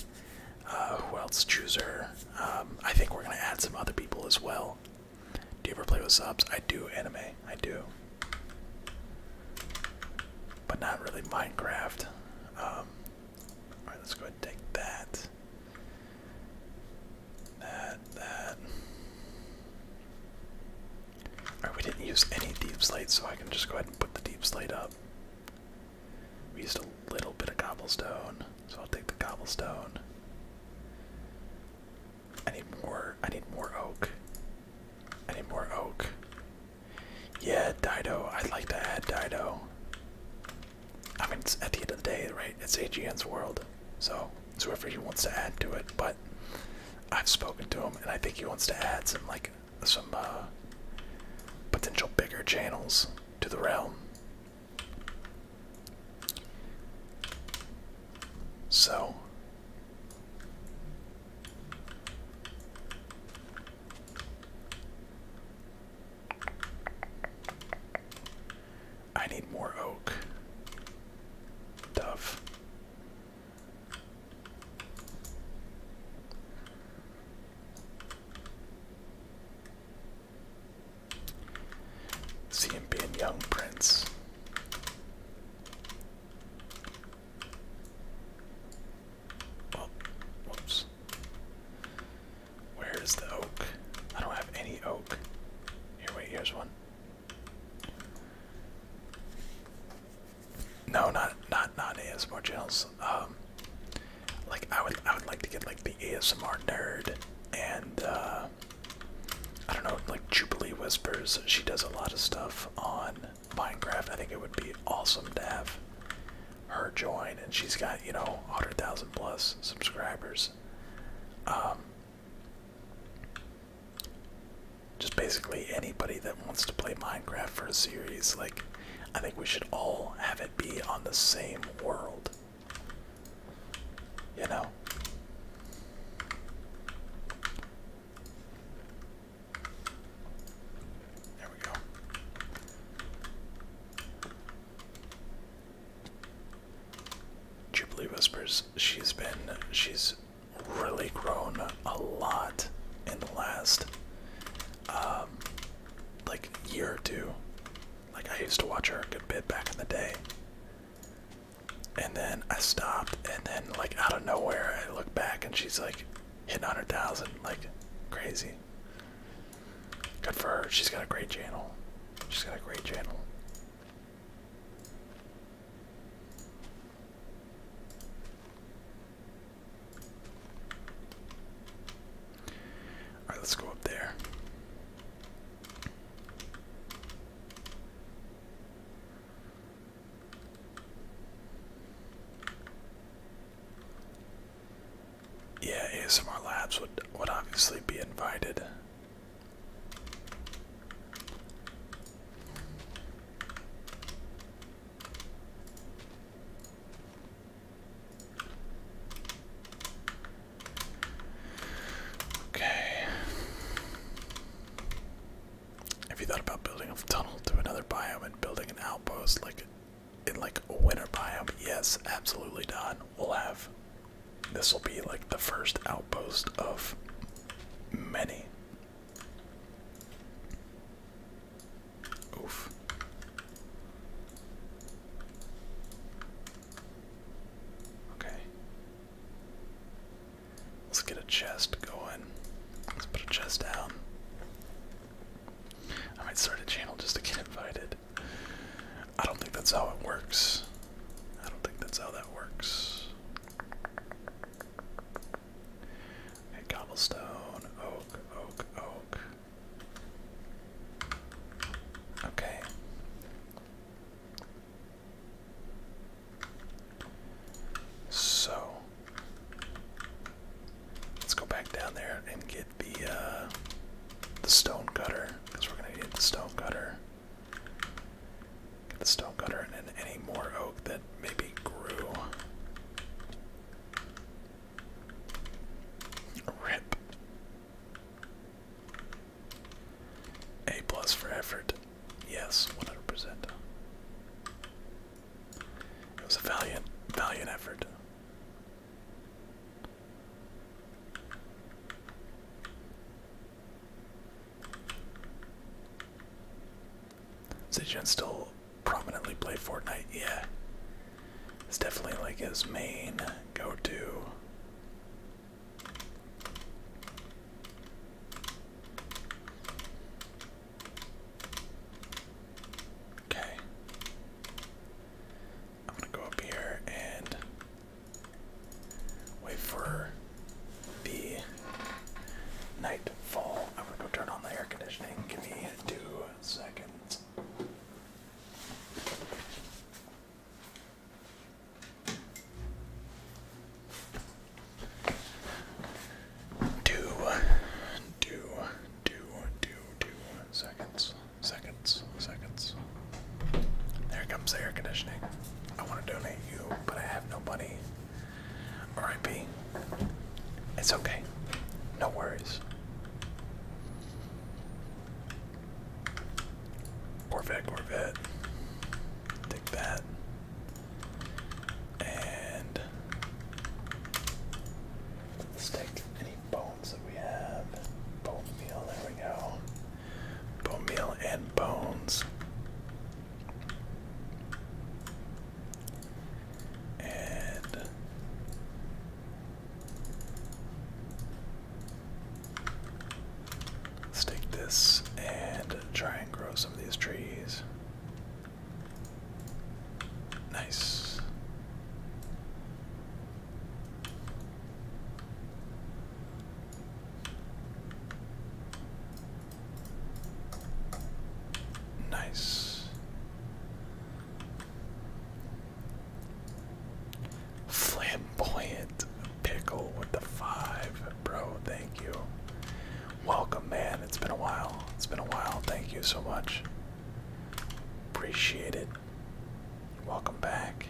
Uh, who else? Chooser. Um, I think we're gonna add some other people as well. Do you ever play with subs? I do anime. I do, but not really Minecraft. Um, all right, let's go ahead and take that. That, that. Alright, we didn't use any deep slate, so I can just go ahead and put the deep slate up. We used a little bit of cobblestone, so I'll take the cobblestone. I need more I need more oak. I need more oak. Yeah, Dido. I'd like to add Dido. I mean, it's at the end of the day, right? It's AGN's world, so it's whoever he wants to add to it. But I've spoken to him, and I think he wants to add some like some uh, potential bigger channels to the realm. So I need more oak. Tough. See him being young prince. Oh, whoops. Where is the oak? I don't have any oak. Here, wait, here's one. No, not not not ASMR channels. Um, like I would I would like to get like the ASMR nerd and uh, I don't know like Jubilee Whispers. She does a lot of stuff on Minecraft. I think it would be awesome to have her join, and she's got you know 100,000 plus subscribers. Um, just basically anybody that wants to play Minecraft for a series, like I think we should all have it be on the same world. You know. There we go. Jubilee Whispers, she's been, she's really grown a lot in the last, um, like, year or two. Like, I used to watch her a good bit back in the day. And then I stopped, and then, like, out of nowhere, I look back and she's like hitting 100,000, like, crazy good for her. She's got a great channel. She's got a great channel. All right, let's go up there. Yeah, ASMR Labs would would obviously be invited. Okay. Have you thought about building a tunnel to another biome and building an outpost like in like a winter biome, yes, absolutely done. We'll have this will be like the first outpost of many. Oof. Okay. Let's get a chest going. Let's put a chest down. I might start a channel just to get invited. I don't think that's how it works. I don't think that's how that works. Okay, cobblestone, oak, oak, oak. Okay. So Let's go back down there and get the uh, the stone cutter because we're gonna need the stone cutter. Get the stone cutter and then any more oak that maybe grew. Rip. A plus for effort. Yes, 100%. It was a valiant, valiant effort. Zijan still prominently play Fortnite, yeah. It's definitely like his main go-to. Okay. I'm gonna go up here and wait for the nightfall. I'm gonna go turn on the air conditioning. Give me two seconds. Do, do, Two, two, two seconds, seconds, seconds. There comes the air conditioning. I want to donate you, but I have no money. R.I.P. It's okay. No worries. Corvette, Corvette. Take that. And let bones that we have. Bone meal, there we go. Bone meal and bones. And let take this and try and grow some of these trees. Nice. Nice. Flamboyant pickle with the five, bro. Thank you. Welcome, man. It's been a while. It's been a while. Thank you so much. Appreciate it. Welcome back.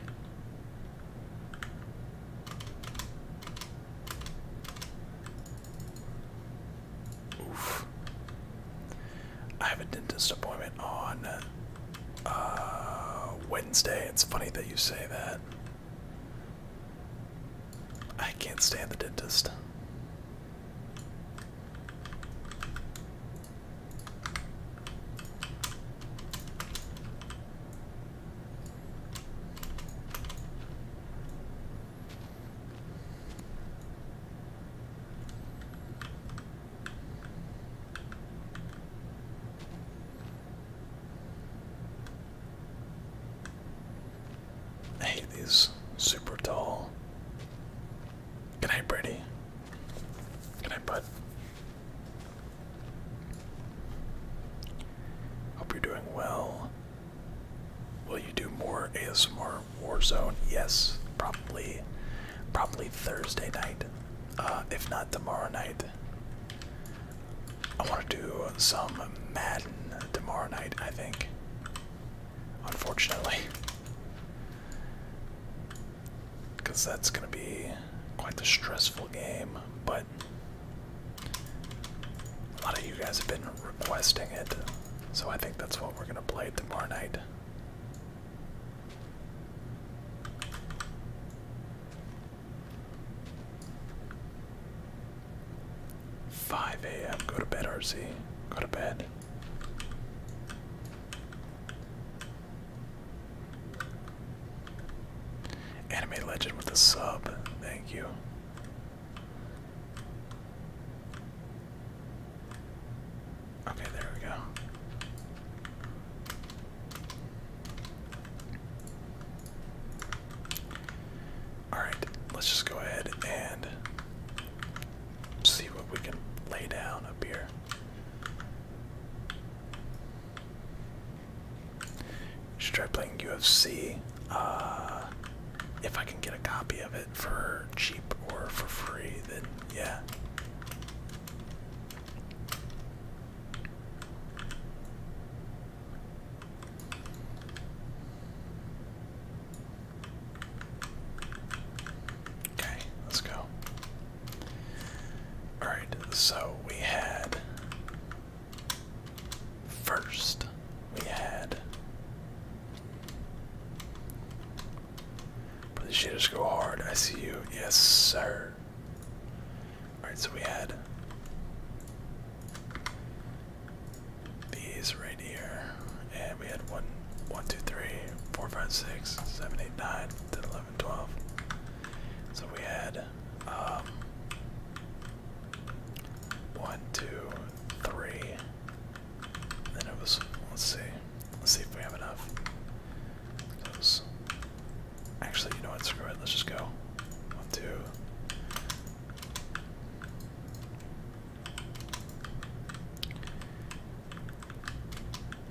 Oof. I have a dentist appointment on uh, Wednesday. It's funny that you say that. I can't stand the dentist. I hate these super tall Good night, Brady. Good night, bud. Hope you're doing well. Will you do more ASMR Warzone? Yes, probably. Probably Thursday night, uh, if not tomorrow night. I want to do some Madden tomorrow night, I think unfortunately. Because that's going to be quite a stressful game, but a lot of you guys have been requesting it, so I think that's what we're going to play tomorrow night. Five a.m. Go to bed, RC. Go to bed. Anime Legend with a sub. Thank you. Okay, there we go. Alright, let's just go ahead and see what we can lay down up here. Should try playing UFC. Uh, if I can get a copy of it for cheap or for free, then yeah. Okay, let's go. Alright, so we had. First, we had. But the shaders go hard. I see you. Yes, sir. Alright, so we had. These right here and we had one, one, two, three, four, five, six, seven, eight, nine, 10, 11, 12. So we had um, one, two, three. Then it was let's see, let's see if we have enough. actually, you know what? Screw it. Let's just go. One, two.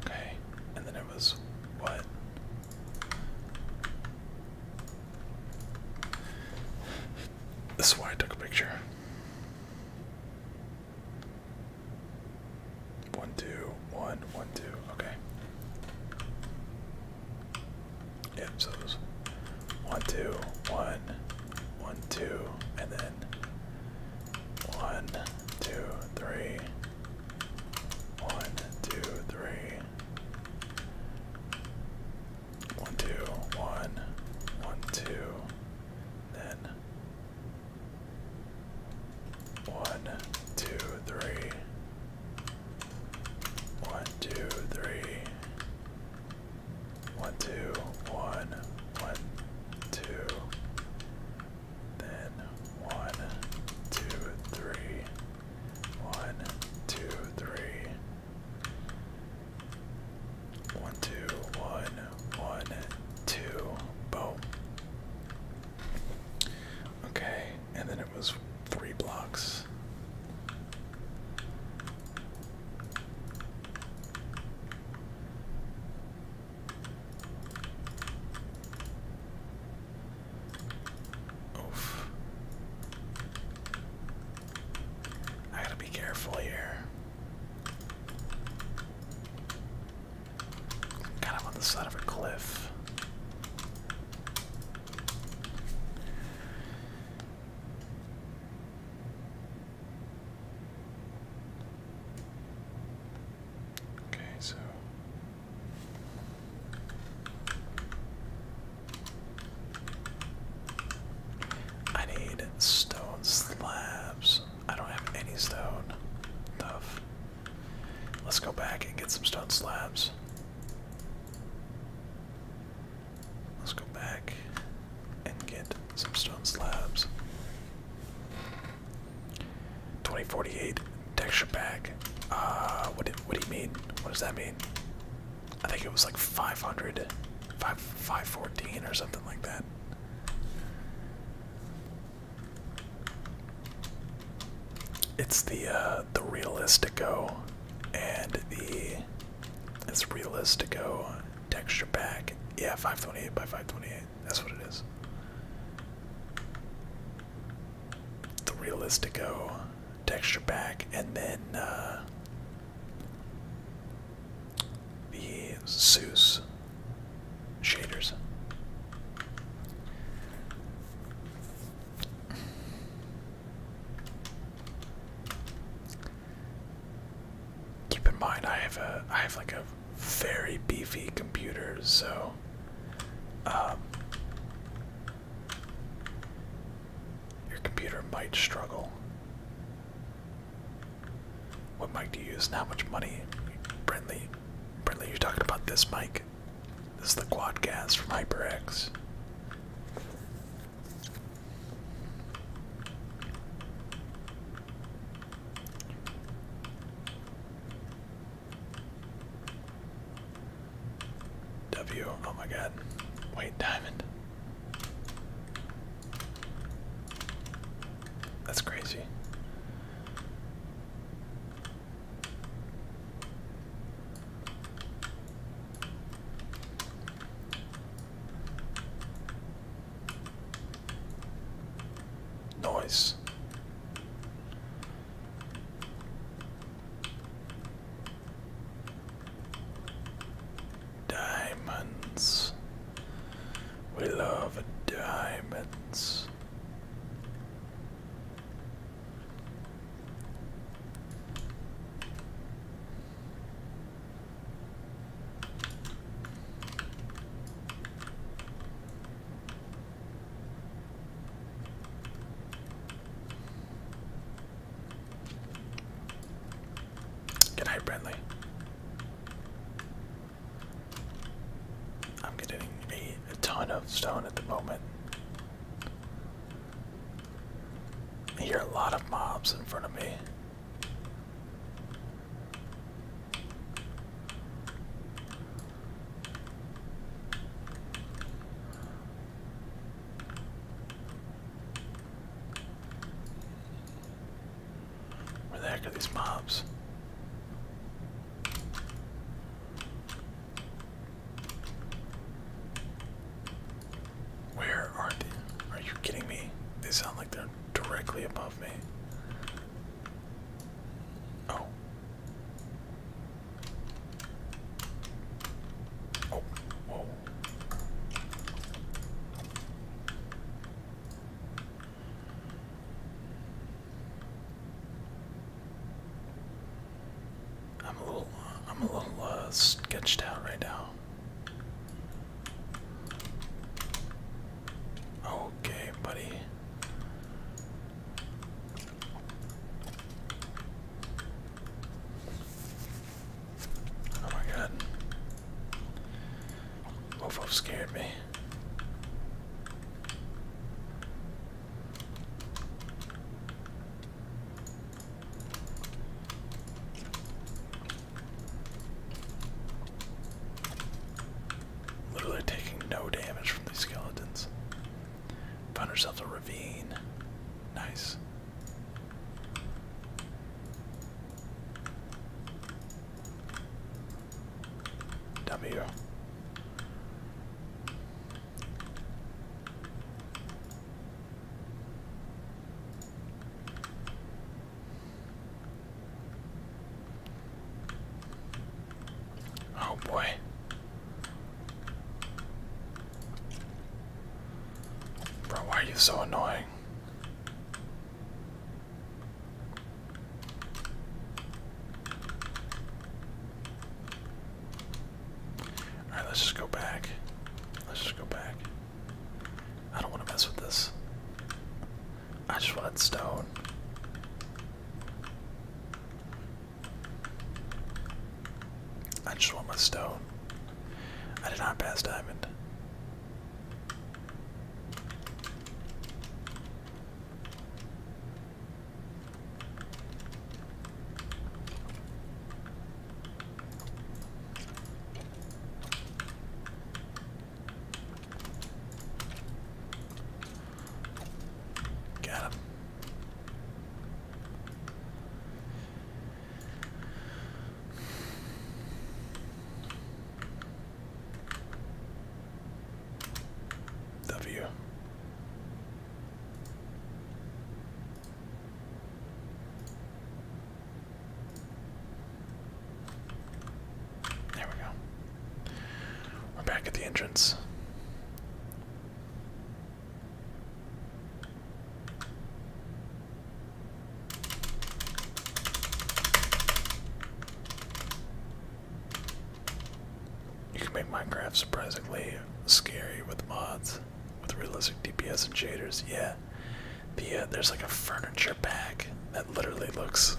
Okay, and then it was what? This is why I took a picture. One, two, one, one, two, okay. Yep, so it was one, two, one, one, two, and then in. One, two, three. One, two, three. One, two, one, one, two. Then one, two, three. One, two, three. One, two, one, one, two. Then one, two, three. One, two, three. One, two, one, one, two. Boom. Okay, and then it was three blocks. Oof. I gotta be careful here. Kind of on the side of a cliff. Okay, so I need stone slabs. I don't have any stone. Tough. Let's go back and get some stone slabs. Let's go back and get some stone slabs. 2048 texture pack. Uh, what did, what do you mean? What does that mean? I think it was like 500, 514 or something like that. It's the uh, the Realistico and the it's Realistico texture pack. Yeah, 528 by 528. That's what it is. The Realistico texture pack, and then uh, the Zeus shaders. Keep in mind, I have a, I have like a very beefy computers, so um, your computer might struggle. What mic do you use and how much money? Brinley, Brinley, you're talking about this mic. This is the Quadcast from HyperX. W, oh my god. Wait, diamond. That's crazy. Nice. Diamonds. We love diamonds. Good night, Brentley. I'm getting a, a ton of stone at the moment. I hear a lot of mobs in front of me. Where the heck are these mobs? Where are they? Are you kidding me? They sound like they're directly above me. Oh. Oh, whoa. I'm a little, I'm a little uh, sketched out right now. Okay, buddy. Oh my god. Mofo scared me. Literally taking no damage from these skeletons. Found ourselves a ravine. Nice. W. Oh boy. Bro, why are you so annoying? Alright, let's just go back. Let's just go back. I don't want to mess with this. I just want stone. I just want my stone. I did not pass diamond. Got him. W. There we go. We're back at the entrance. You can make Minecraft surprisingly scary with mods, with realistic DPS and shaders. Yeah, the there's like a furniture pack that literally looks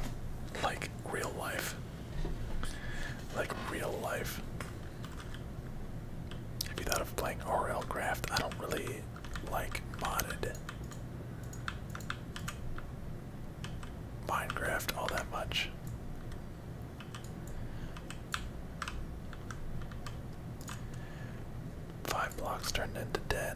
like real life like real life. Have you thought of playing RL Craft? I don't really like modded Minecraft all that much. Five blocks turned into ten.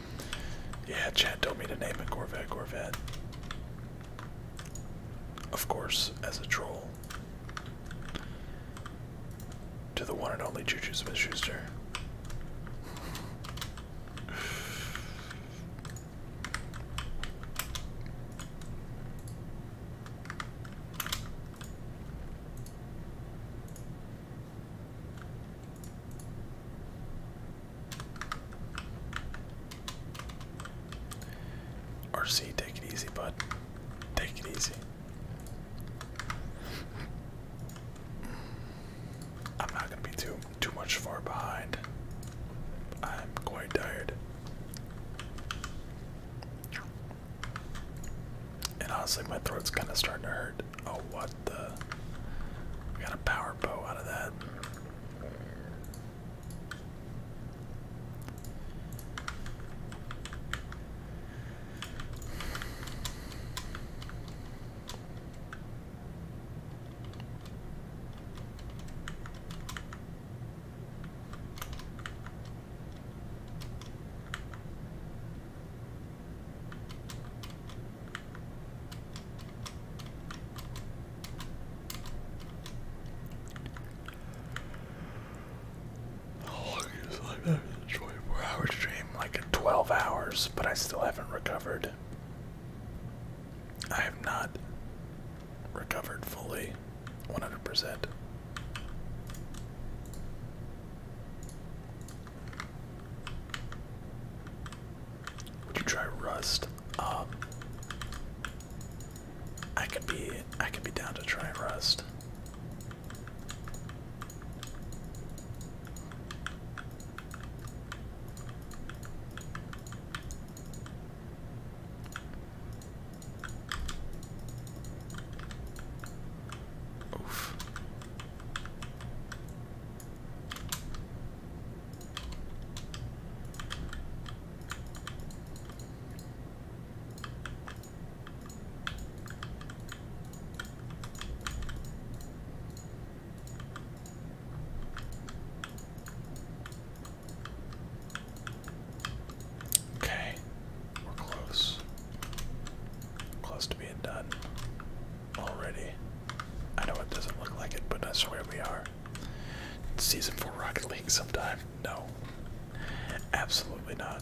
Yeah, Chad told me to name it Corvette Corvette. Of course, as a troll. To the one and only Juju Smith Schuster. RC, take it easy, bud. Take it easy. I'm not gonna be too too much far behind. I'm quite tired. And honestly, my throat's kind of starting to hurt. Oh, what? we got a power bow out of that. How long is like that? 24 hours dream, like 12 hours, but I still haven't recovered. I have not recovered fully 100%. Would you try Rust? Um, I could be I could be down to try Rust. Oof. Okay, we're close. Close to being done already. I know it doesn't look like it, but that's where we are. Season 4 Rocket League sometime. No. Absolutely not.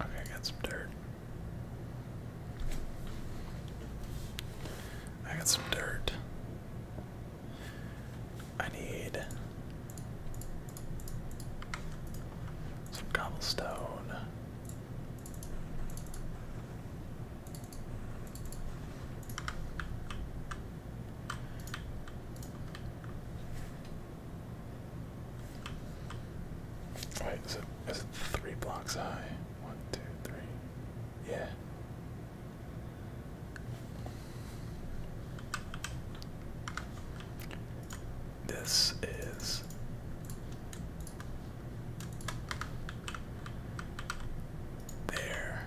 Okay, I got some dirt. I got some dirt. I need some cobblestone. Wait, is it, is it three blocks high? One, two, three. Yeah. This is there.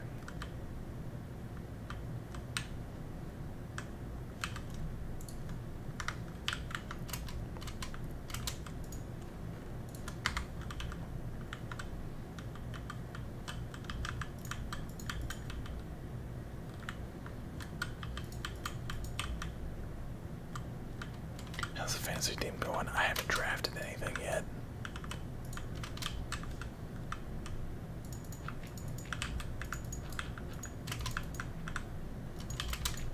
How's the fantasy team going? I haven't drafted anything yet.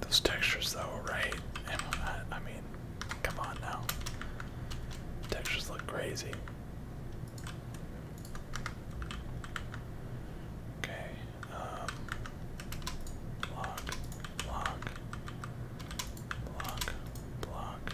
Those textures, though, right? I, mean, come on now. Textures look crazy. Okay. Um, block. Block. Block. Block.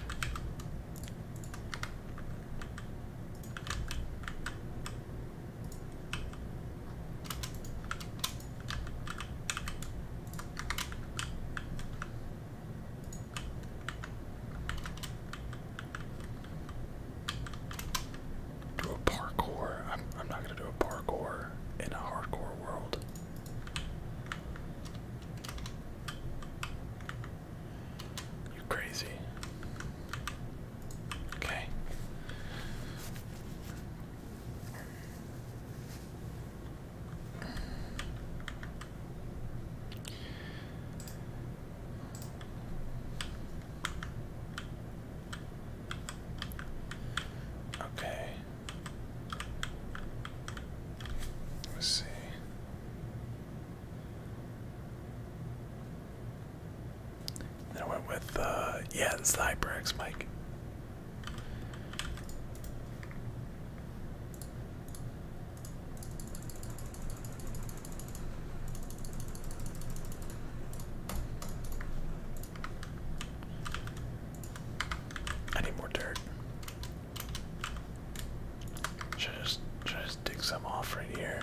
Do a parkour. I'm, I'm not going to do a parkour in a hardcore world. You crazy. Okay. Okay. Let's see. I went with, uh, yeah, it's the HyperX Mike. I need more dirt. Should just should just dig some off right here?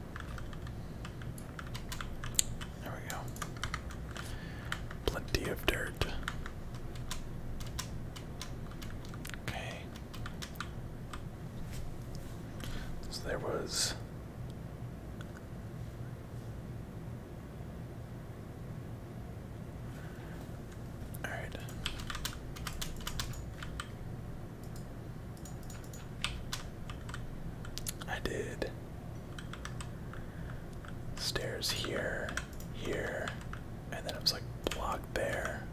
There we go. Plenty of dirt. Okay. So there was all right. I did stairs here, here, and then it was like block there.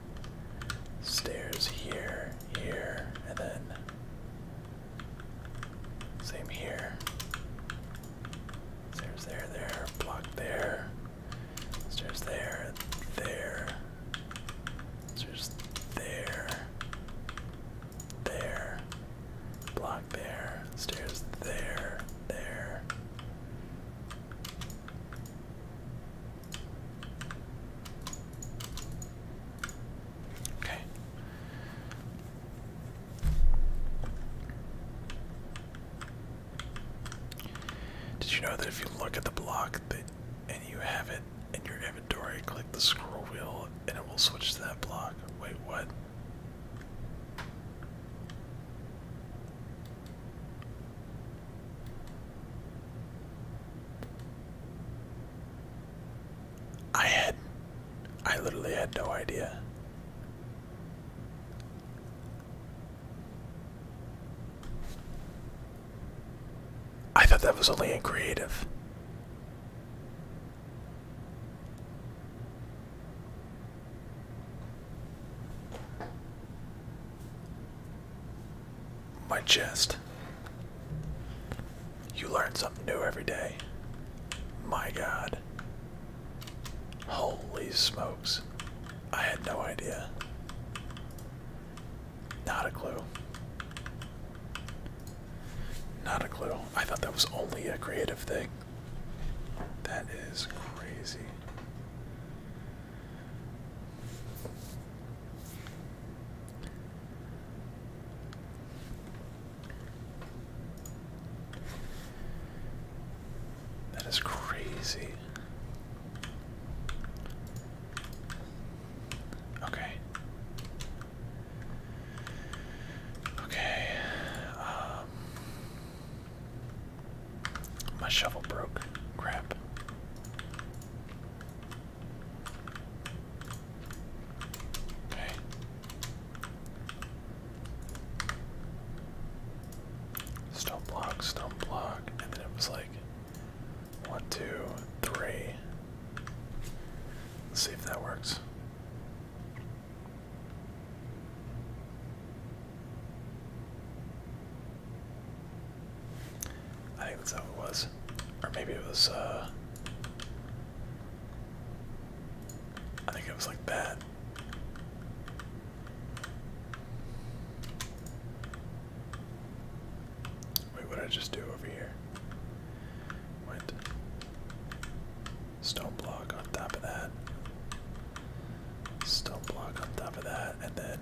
Stairs here, here, and then same here. Stairs there, there, block there. Stairs there, there. Stairs there there, block there, stairs there, there. Okay. Did you know that if you look at the block and you have it in your inventory, click the scroll wheel, and it will switch to that block. Wait, what? I had, I literally had no idea. I thought that was only in creative. My chest. You learn something new every day. My god. Holy smokes. I had no idea. Not a clue. Not a clue. I thought that was only a creative thing. That is crazy. That is crazy. Okay. Okay. Um, my shovel broke. Crap. Okay. Stone block, stone block, and then it was like one, two, three. Let's see if that works. I think that's how it was. Or maybe it was, uh, I think it was like that. Wait, what did I just do over here? with stone block on top of that, stone block on top of that, and then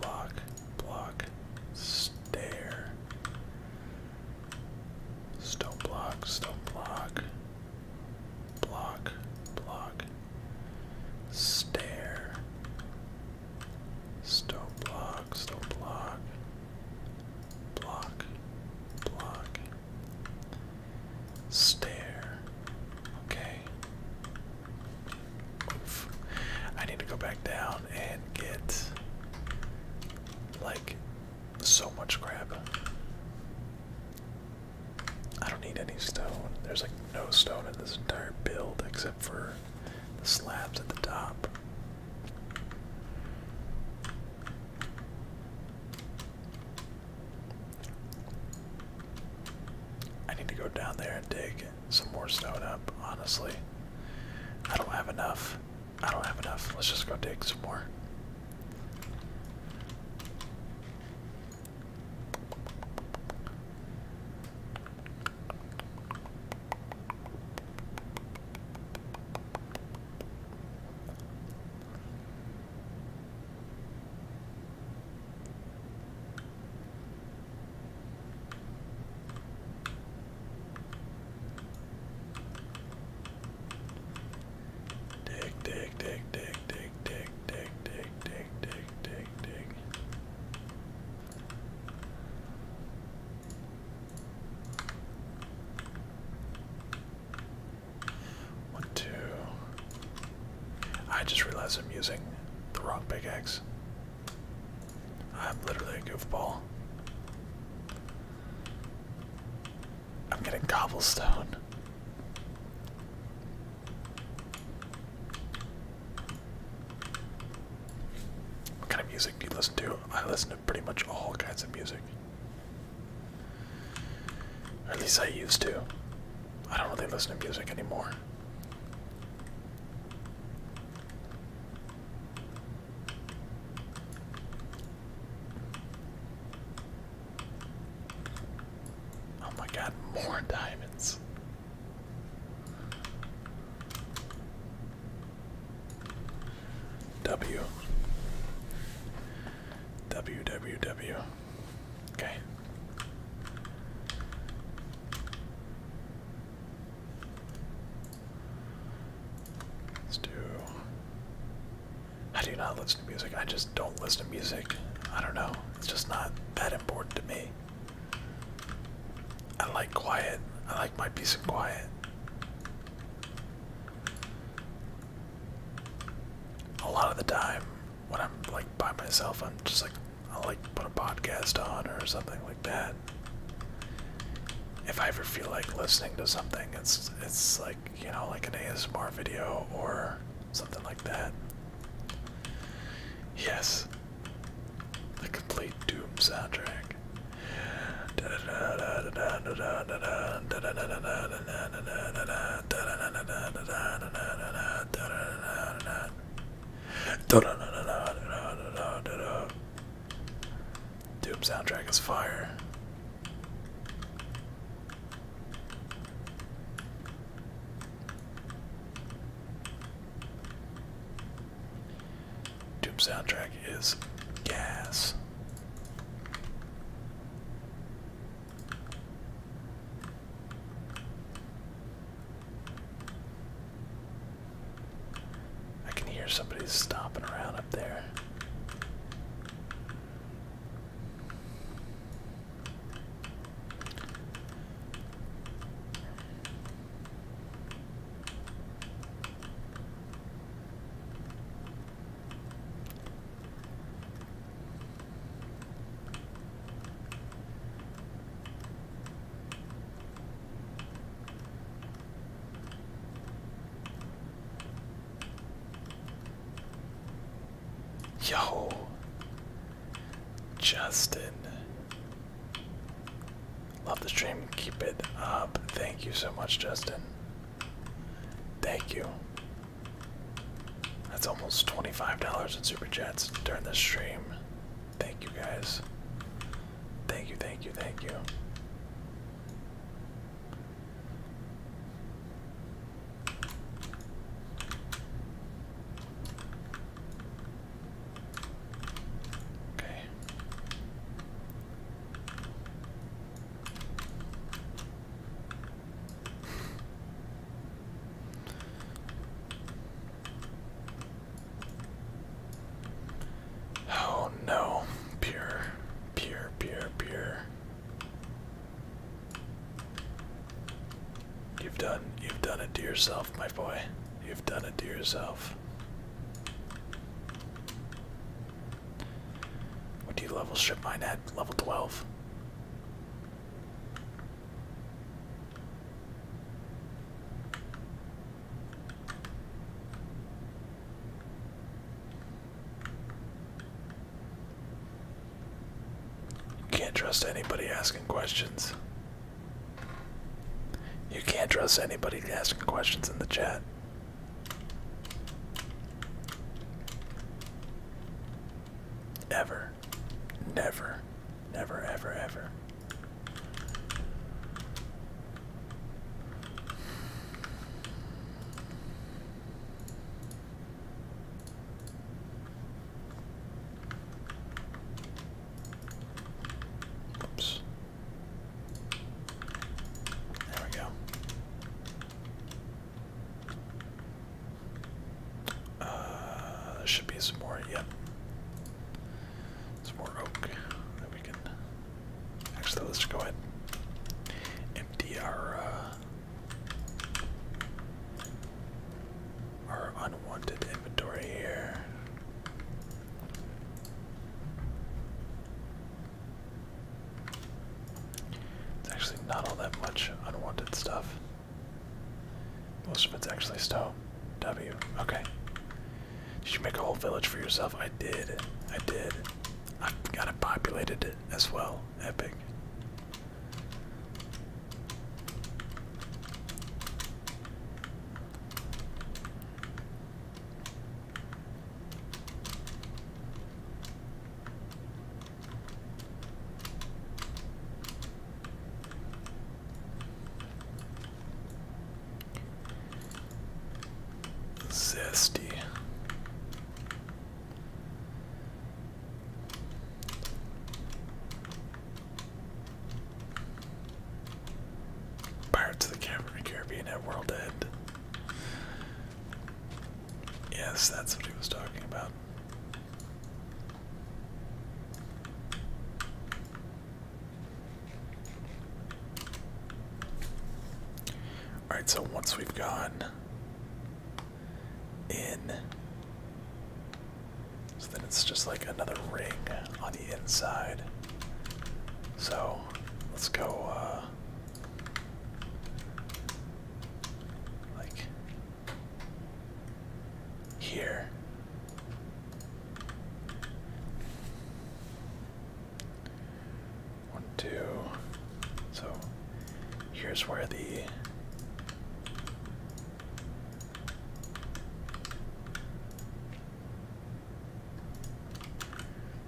block, block, stair, stone block, stone block, block, block, stair. Stone block, stone block, block, block, stair. Okay. Oof. I need to go back down and get like so much crap. I don't need any stone. There's like no stone in this entire build except for the slabs at the top. I need to go down there and dig some more stone up, honestly. I don't have enough. I don't have enough. Let's just go dig some more. Dig, dig, dig, dig, dig, dig, dig, dig, dig, dig, dig, dig. One, two. I just realized I'm using the wrong pickaxe. I'm literally a goofball. I'm getting cobblestone. What kind of music do you listen to? I listen to pretty much all kinds of music. at least I used to. I don't really listen to music anymore. Oh my god, more diamonds. W. W, W, Okay. Let's do. I do not listen to music. I just don't listen to music. I don't know. It's just not that important to me. I like quiet. I might be peace quiet. A lot of the time when I'm like by myself, I'm just like i like put a podcast on or something like that. If I ever feel like listening to something, it's it's like you know like an ASMR video or something like that. Yes, the complete Doom soundtrack back. Doom soundtrack is fire. Doom soundtrack is gas. I can hear somebody stomping around up there. Yo, Justin, love the stream. Keep it up. Thank you so much, Justin. Thank you. That's almost $25 in super chats during this stream. Thank you guys. Thank you, thank you, thank you. Okay. Oh no, pure, pure, pure, pure. You've done you've done it to yourself, my boy. You've done it to yourself. What do you level ship mine at? Level 12. You can't trust anybody asking questions. You can't trust anybody asking questions in the chat. Ever. Never. Never, ever, ever. Oops. There we go. Uh, should be some more. Yep, some more oak that we can. Actually, let's go ahead empty our uh, our unwanted inventory here. It's actually not all that much unwanted stuff. Most of it's actually Stow. W. Okay. Did you make a whole village for yourself? I did. I did. I got it populated as well. Epic. Zesty. Pirates of the Caribbean at World End. Yes, that's what he was talking about. Alright, so once we've gone in, so then it's just like another ring on the inside. So let's go, uh, like here. One, two. So here's where the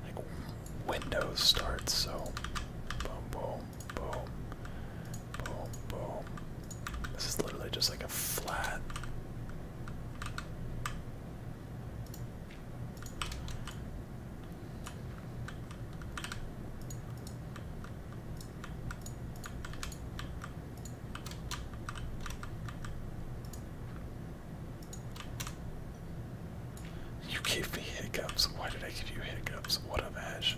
like Windows starts, so boom, boom, boom, boom, boom. This is literally just like a flat. You gave me hiccups. Why did I give you hiccups? What a match.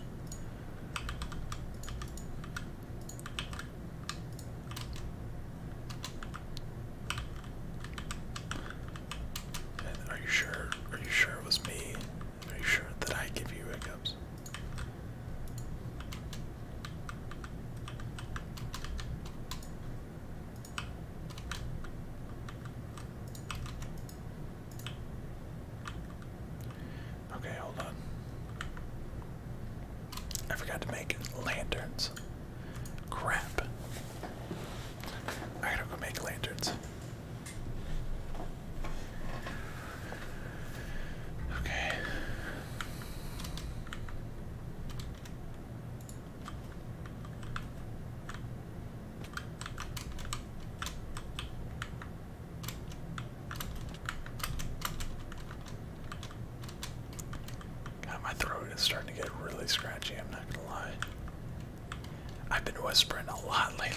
are you sure? Are you sure it was me? Are you sure that I give you hiccups? Okay, hold on. I forgot to make lanterns. Crap. I gotta go make lanterns. Okay. God, my throat is starting to get really scratchy, I'm not gonna lie. I've been whispering a lot lately.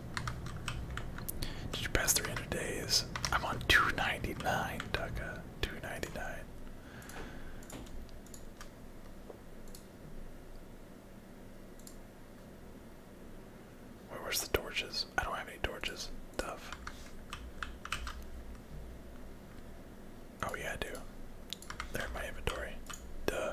Did you pass 300 days? I'm on 299, Daka. 299. Wait, where's the torches? I don't have any torches. Tough. Oh yeah, I do. They're in my inventory. Duh.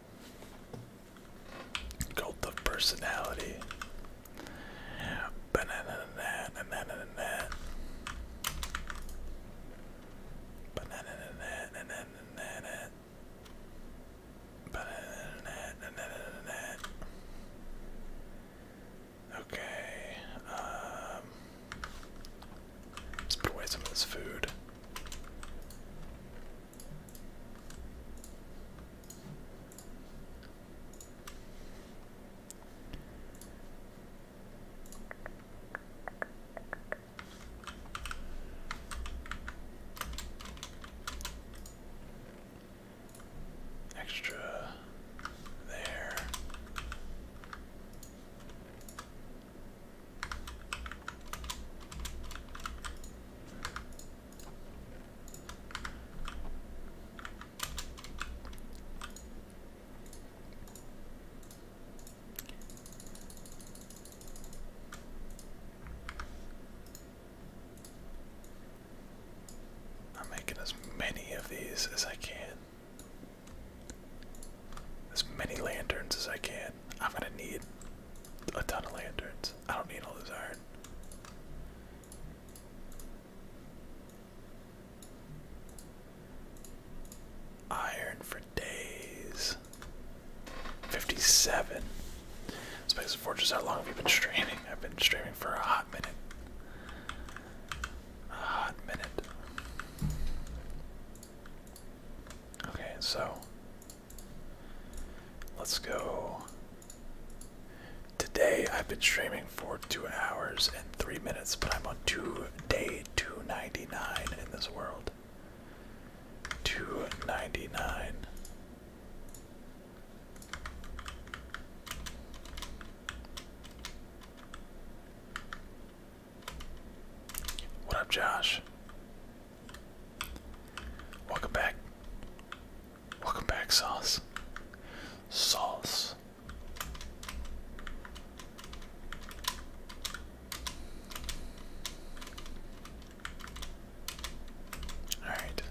Cult of personality. Banana that, banana that. Banana that, banana that. Okay, let's put away some of this food. Extra there. I'm making as many of these as I can. As many lanterns as I can. I'm gonna need a ton of lanterns. I don't need all this iron. Iron for days. 57. Space of Fortress, how long have you been streaming? I've been streaming for a hot minute. A hot minute. Okay, so Let's go. Today I've been streaming for two hours and three minutes, but I'm on two day 299 in this world. 299. What up, Josh? Welcome back. Welcome back, Sauce. Sauce. All right.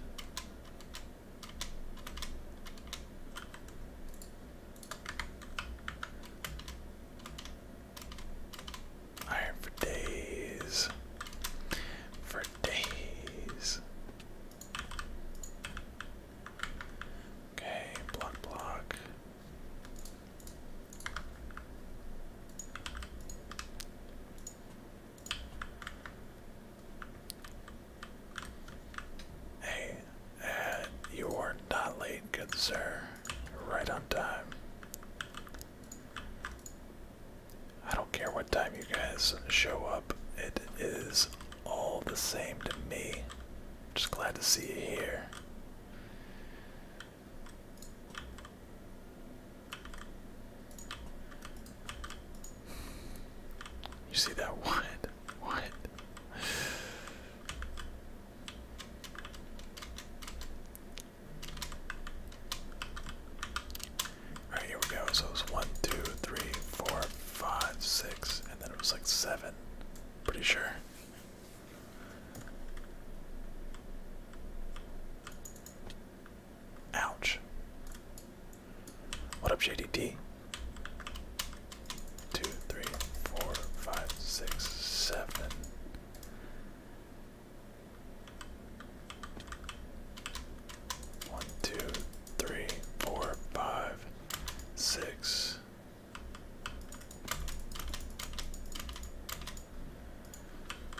Iron for days. For days. Okay, block, block. Hey, uh, you are not late, good sir. Right on time. I don't care what time you guys show up, it is all the same to me. Just glad to see you here. You see that? [LAUGHS] What? What? All right, here we go. So it was one, two, three, four, five, six, and then it was like seven. Pretty sure. Ouch. What up, JDD? Two, three, four, five, six, seven. One, two, three, four, five, six.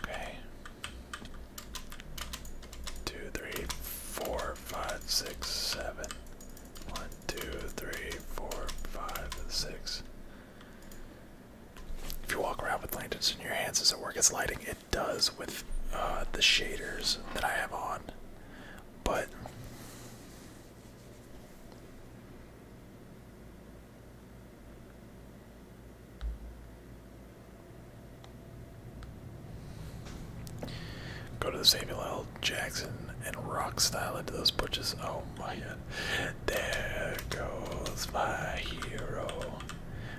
Okay. Two, three, four, five, six, seven. One, two, three, four, five, six. If you walk around with lanterns in your hands, does it work as lighting? It does with uh, the shaders that I have on, but go to the Samuel L. Jackson and rock style into those butches. Oh my god. There goes my hero.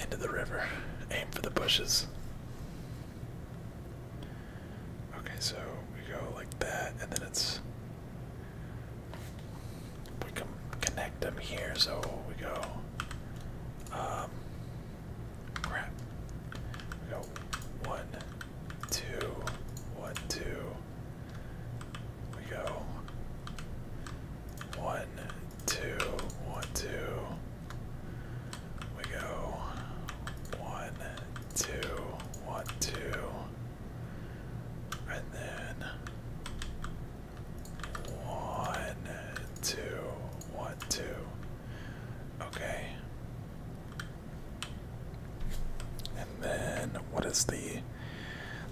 Into the river. Aim for the bushes. Okay, so we go like that, and then it's we can connect them here, so we go. Um, crap. We go one, two, one, two. We go one, two, one, two. We go one, two, one, two. And then one, two, one, two. Okay. And then what is the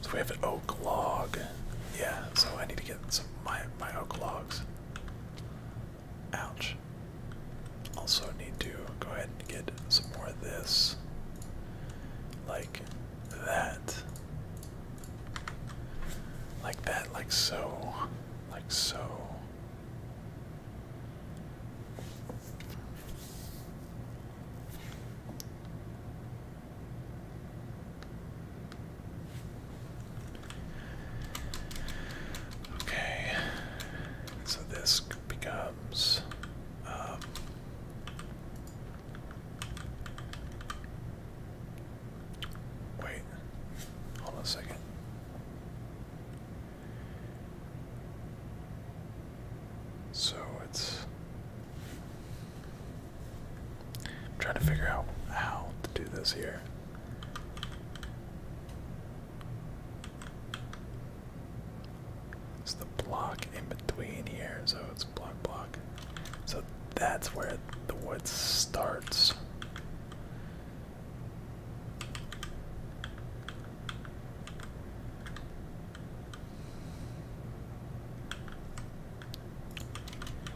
so we have an oak log. Yeah, so I need to get some my my oak logs. Ouch. Also need to go ahead and get some more of this. Like that. Like that, like so, like so. Okay, so this becomes um, Wait, hold on a second. So it's. trying to figure out how to do this here. It's the block in between here, so it's block, block. So that's where the wood starts.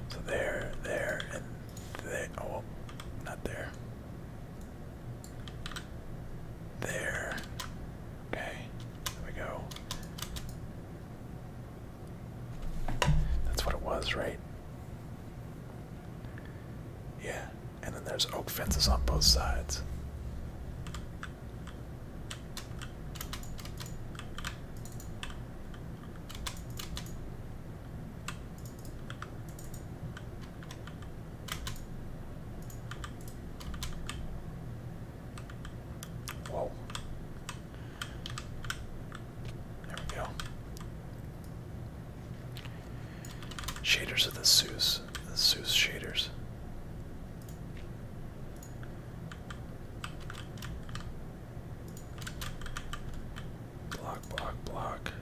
So there, there, and there. Oh, not there. There. Okay, we go. That's what it was, right? Yeah, and then there's oak fences on both sides. Whoa. There we go. Shaders of the Zeus. The Zeus shaders. Block, block, block.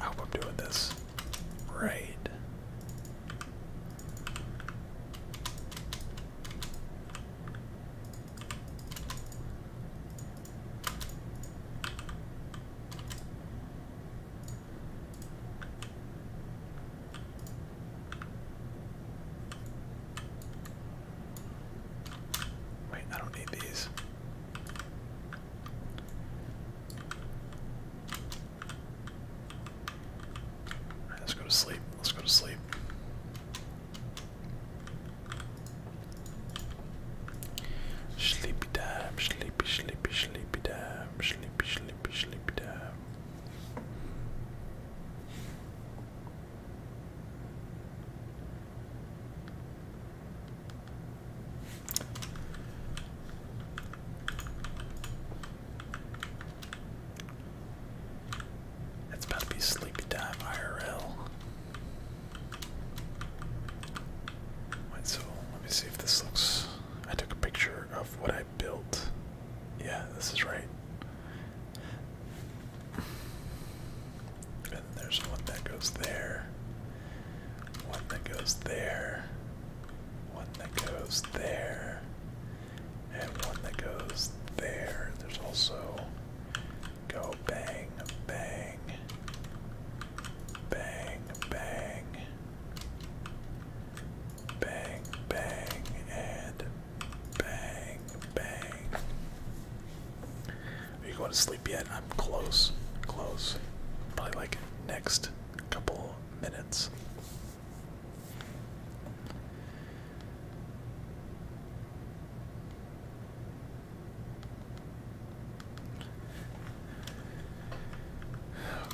I hope I'm doing this right. Wait, I don't need these let's go to sleep. Let's go to sleep. Sleepy time, sleepy, sleepy, sleepy time, sleepy, sleepy, sleepy time. It's about to be sleepy time IRL. Wait, so let me see if this looks. I took a picture of what I built. Yeah, this is right. And there's one that goes there, one that goes there, one that goes there, and one that goes there. There's also go bang, bang, bang, bang, bang, bang, and bang, bang. Are you going to sleep yet? I'm close, close. Probably like next couple minutes.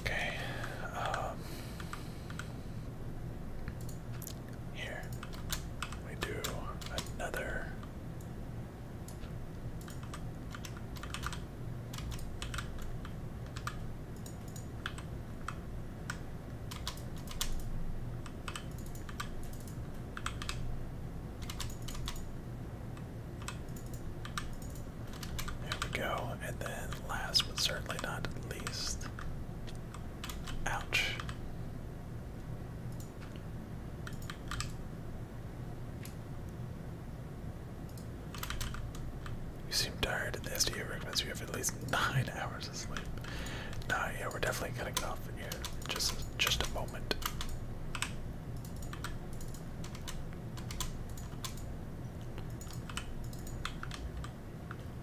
Okay. Um, here we do another. There we go. And then last but certainly not least. Ouch. You seem tired. The SDU recommends you have at least nine hours of sleep. Nah, yeah, we're definitely gonna get off here. Just, just a moment.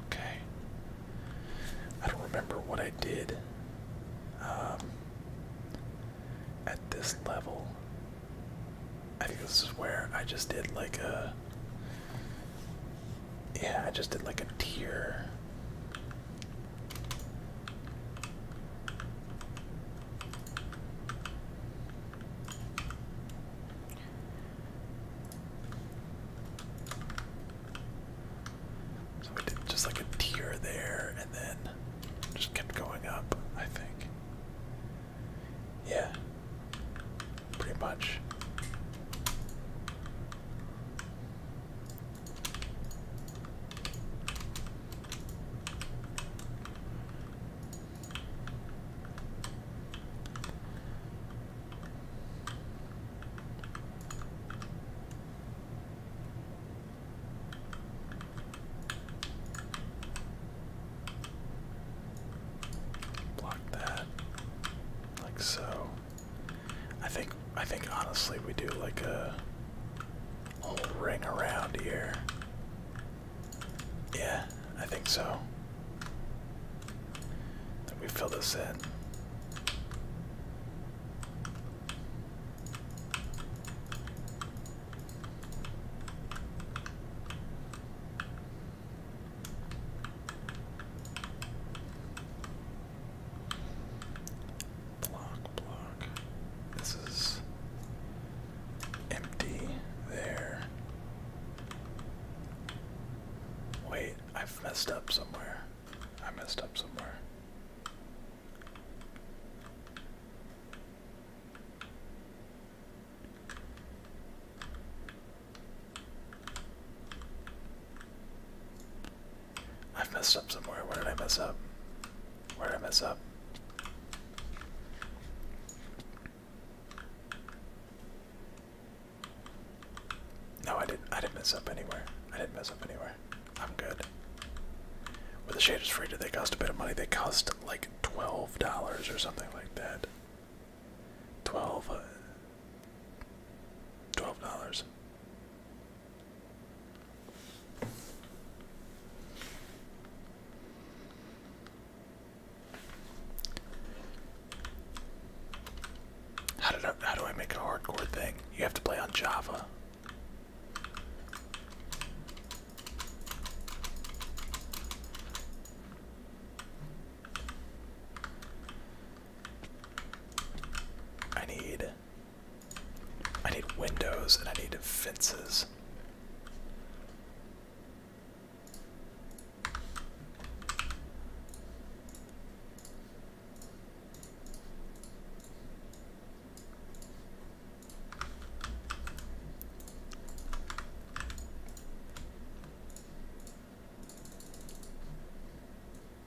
Okay. I don't remember what I did um, at this level. I think this is where I just did like a yeah, I just did like a tear. So we did just like a tear there and then just kept going up, I think. Yeah pretty much. Block that, like so. I think I think honestly we do like a whole ring around here. Yeah, I think so. Then we fill this in. Block, block. This is empty there. Wait, I've messed up somewhere. I messed up somewhere. I've messed up somewhere. Where did I mess up? Where did I mess up? No, I didn't. I didn't mess up anywhere. I didn't mess up anywhere. I'm good. Were the shaders free? Did they cost a bit of money? They cost like twelve dollars or something like that. Twelve. Uh, Twelve dollars. How do I make a hardcore thing? You have to play on Java. I need I need windows and I need fences.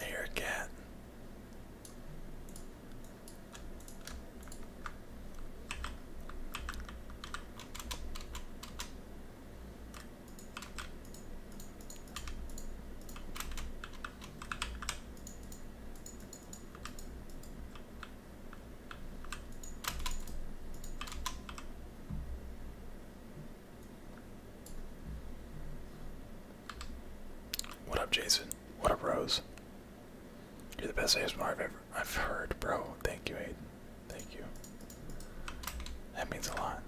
I hear a cat. What up, Jason? What up, Rose? You're the best ASMR I've ever I've heard, bro. Thank you, Aiden. Thank you. That means a lot.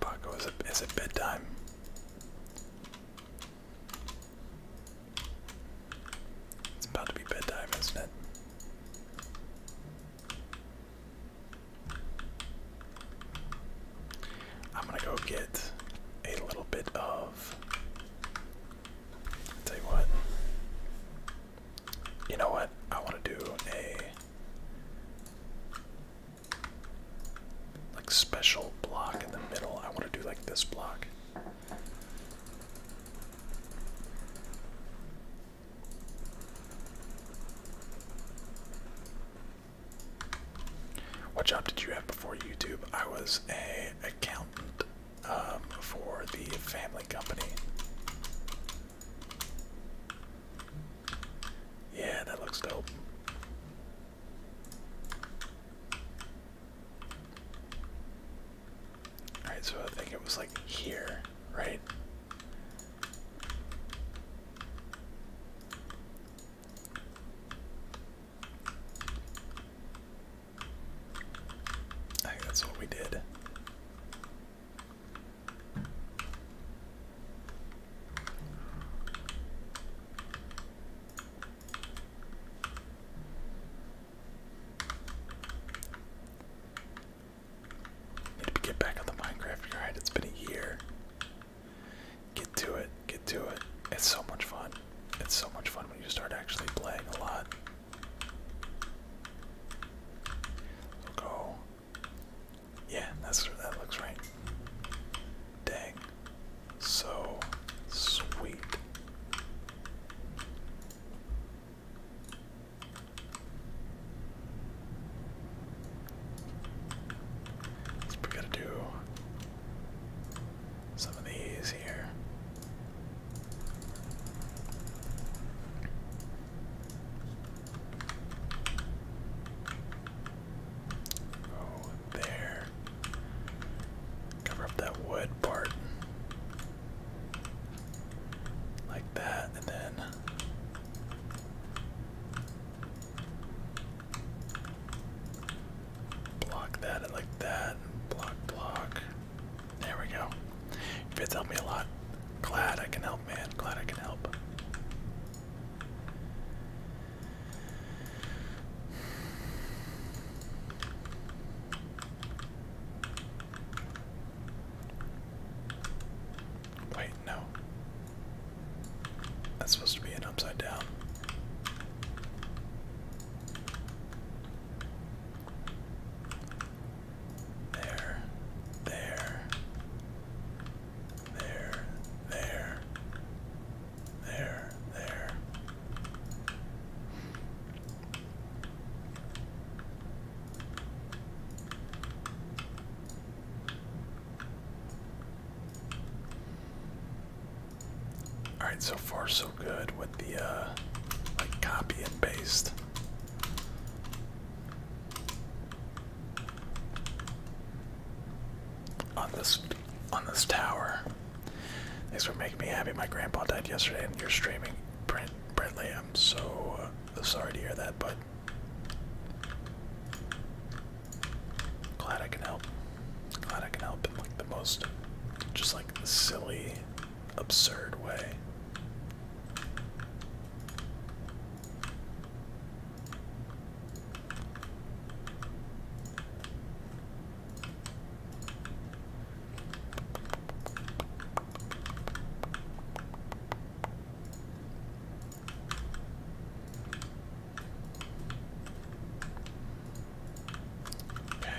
Paco, is it, is it bedtime? It's about to be bedtime, isn't it? I'm gonna go get a little bit of. tell you what. You know what? I want to do a like special block in the middle. I want to do like this block. What job did you have before YouTube? I was a accountant um, for the family company. Yeah, that looks dope. Alright, so I think it was like here, right? I think that's what we did. Need to get back on the Minecraft ride. It's been a year. Get to it. Get to it. It's so much fun. It's so much fun when you start actually playing a lot. go yeah, that's that looks right. Dang. So sweet. we gotta do some of these here. Oh, there. Cover up that wood part. Like that, and then. Block that like that. block, block. There we go. Fits helped me a lot. Glad I can help, man. Glad I can help. Wait, no. That's supposed to be an upside down. There. There there, there, there, there. All right, so far so good with the uh, like copy and paste on this on this tower. Thanks for making me happy. My grandpa died yesterday, and you're streaming, Brent Brentley. I'm so uh, sorry to hear that, but glad I can help. Glad I can help in like the most, just like the silly, absurd way. Okay.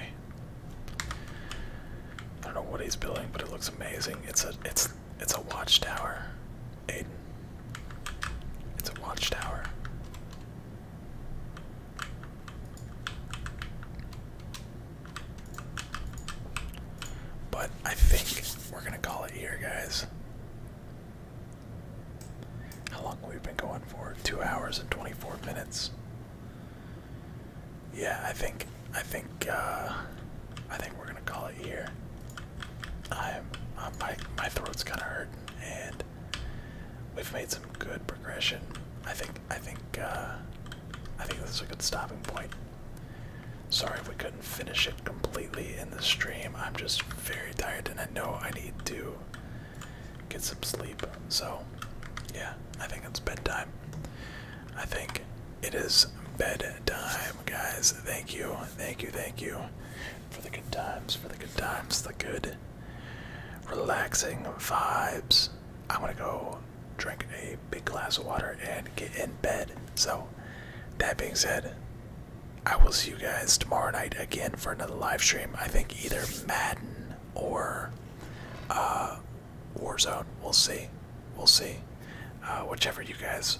I don't know what he's building, but it looks amazing. It's a it's it's a watchtower, Aiden. It's a watchtower. But I think we're gonna call it here, guys. How long we have been going for? Two hours and twenty-four minutes. Yeah, I think I think uh I think we're gonna call it here. I'm, uh, my my throat's kind of hurt, and we've made some good progression. I think I think uh, I think this is a good stopping point. Sorry if we couldn't finish it completely in the stream. I'm just very tired, and I know I need to get some sleep. So, yeah, I think it's bedtime. I think it is bedtime guys. Thank you, thank you, thank you for the good times, for the good times, the good, relaxing vibes. I'm gonna go drink a big glass of water and get in bed. So, that being said, I will see you guys tomorrow night again for another live stream. I think either Madden or uh, Warzone. We'll see. We'll see. Uh, whichever you guys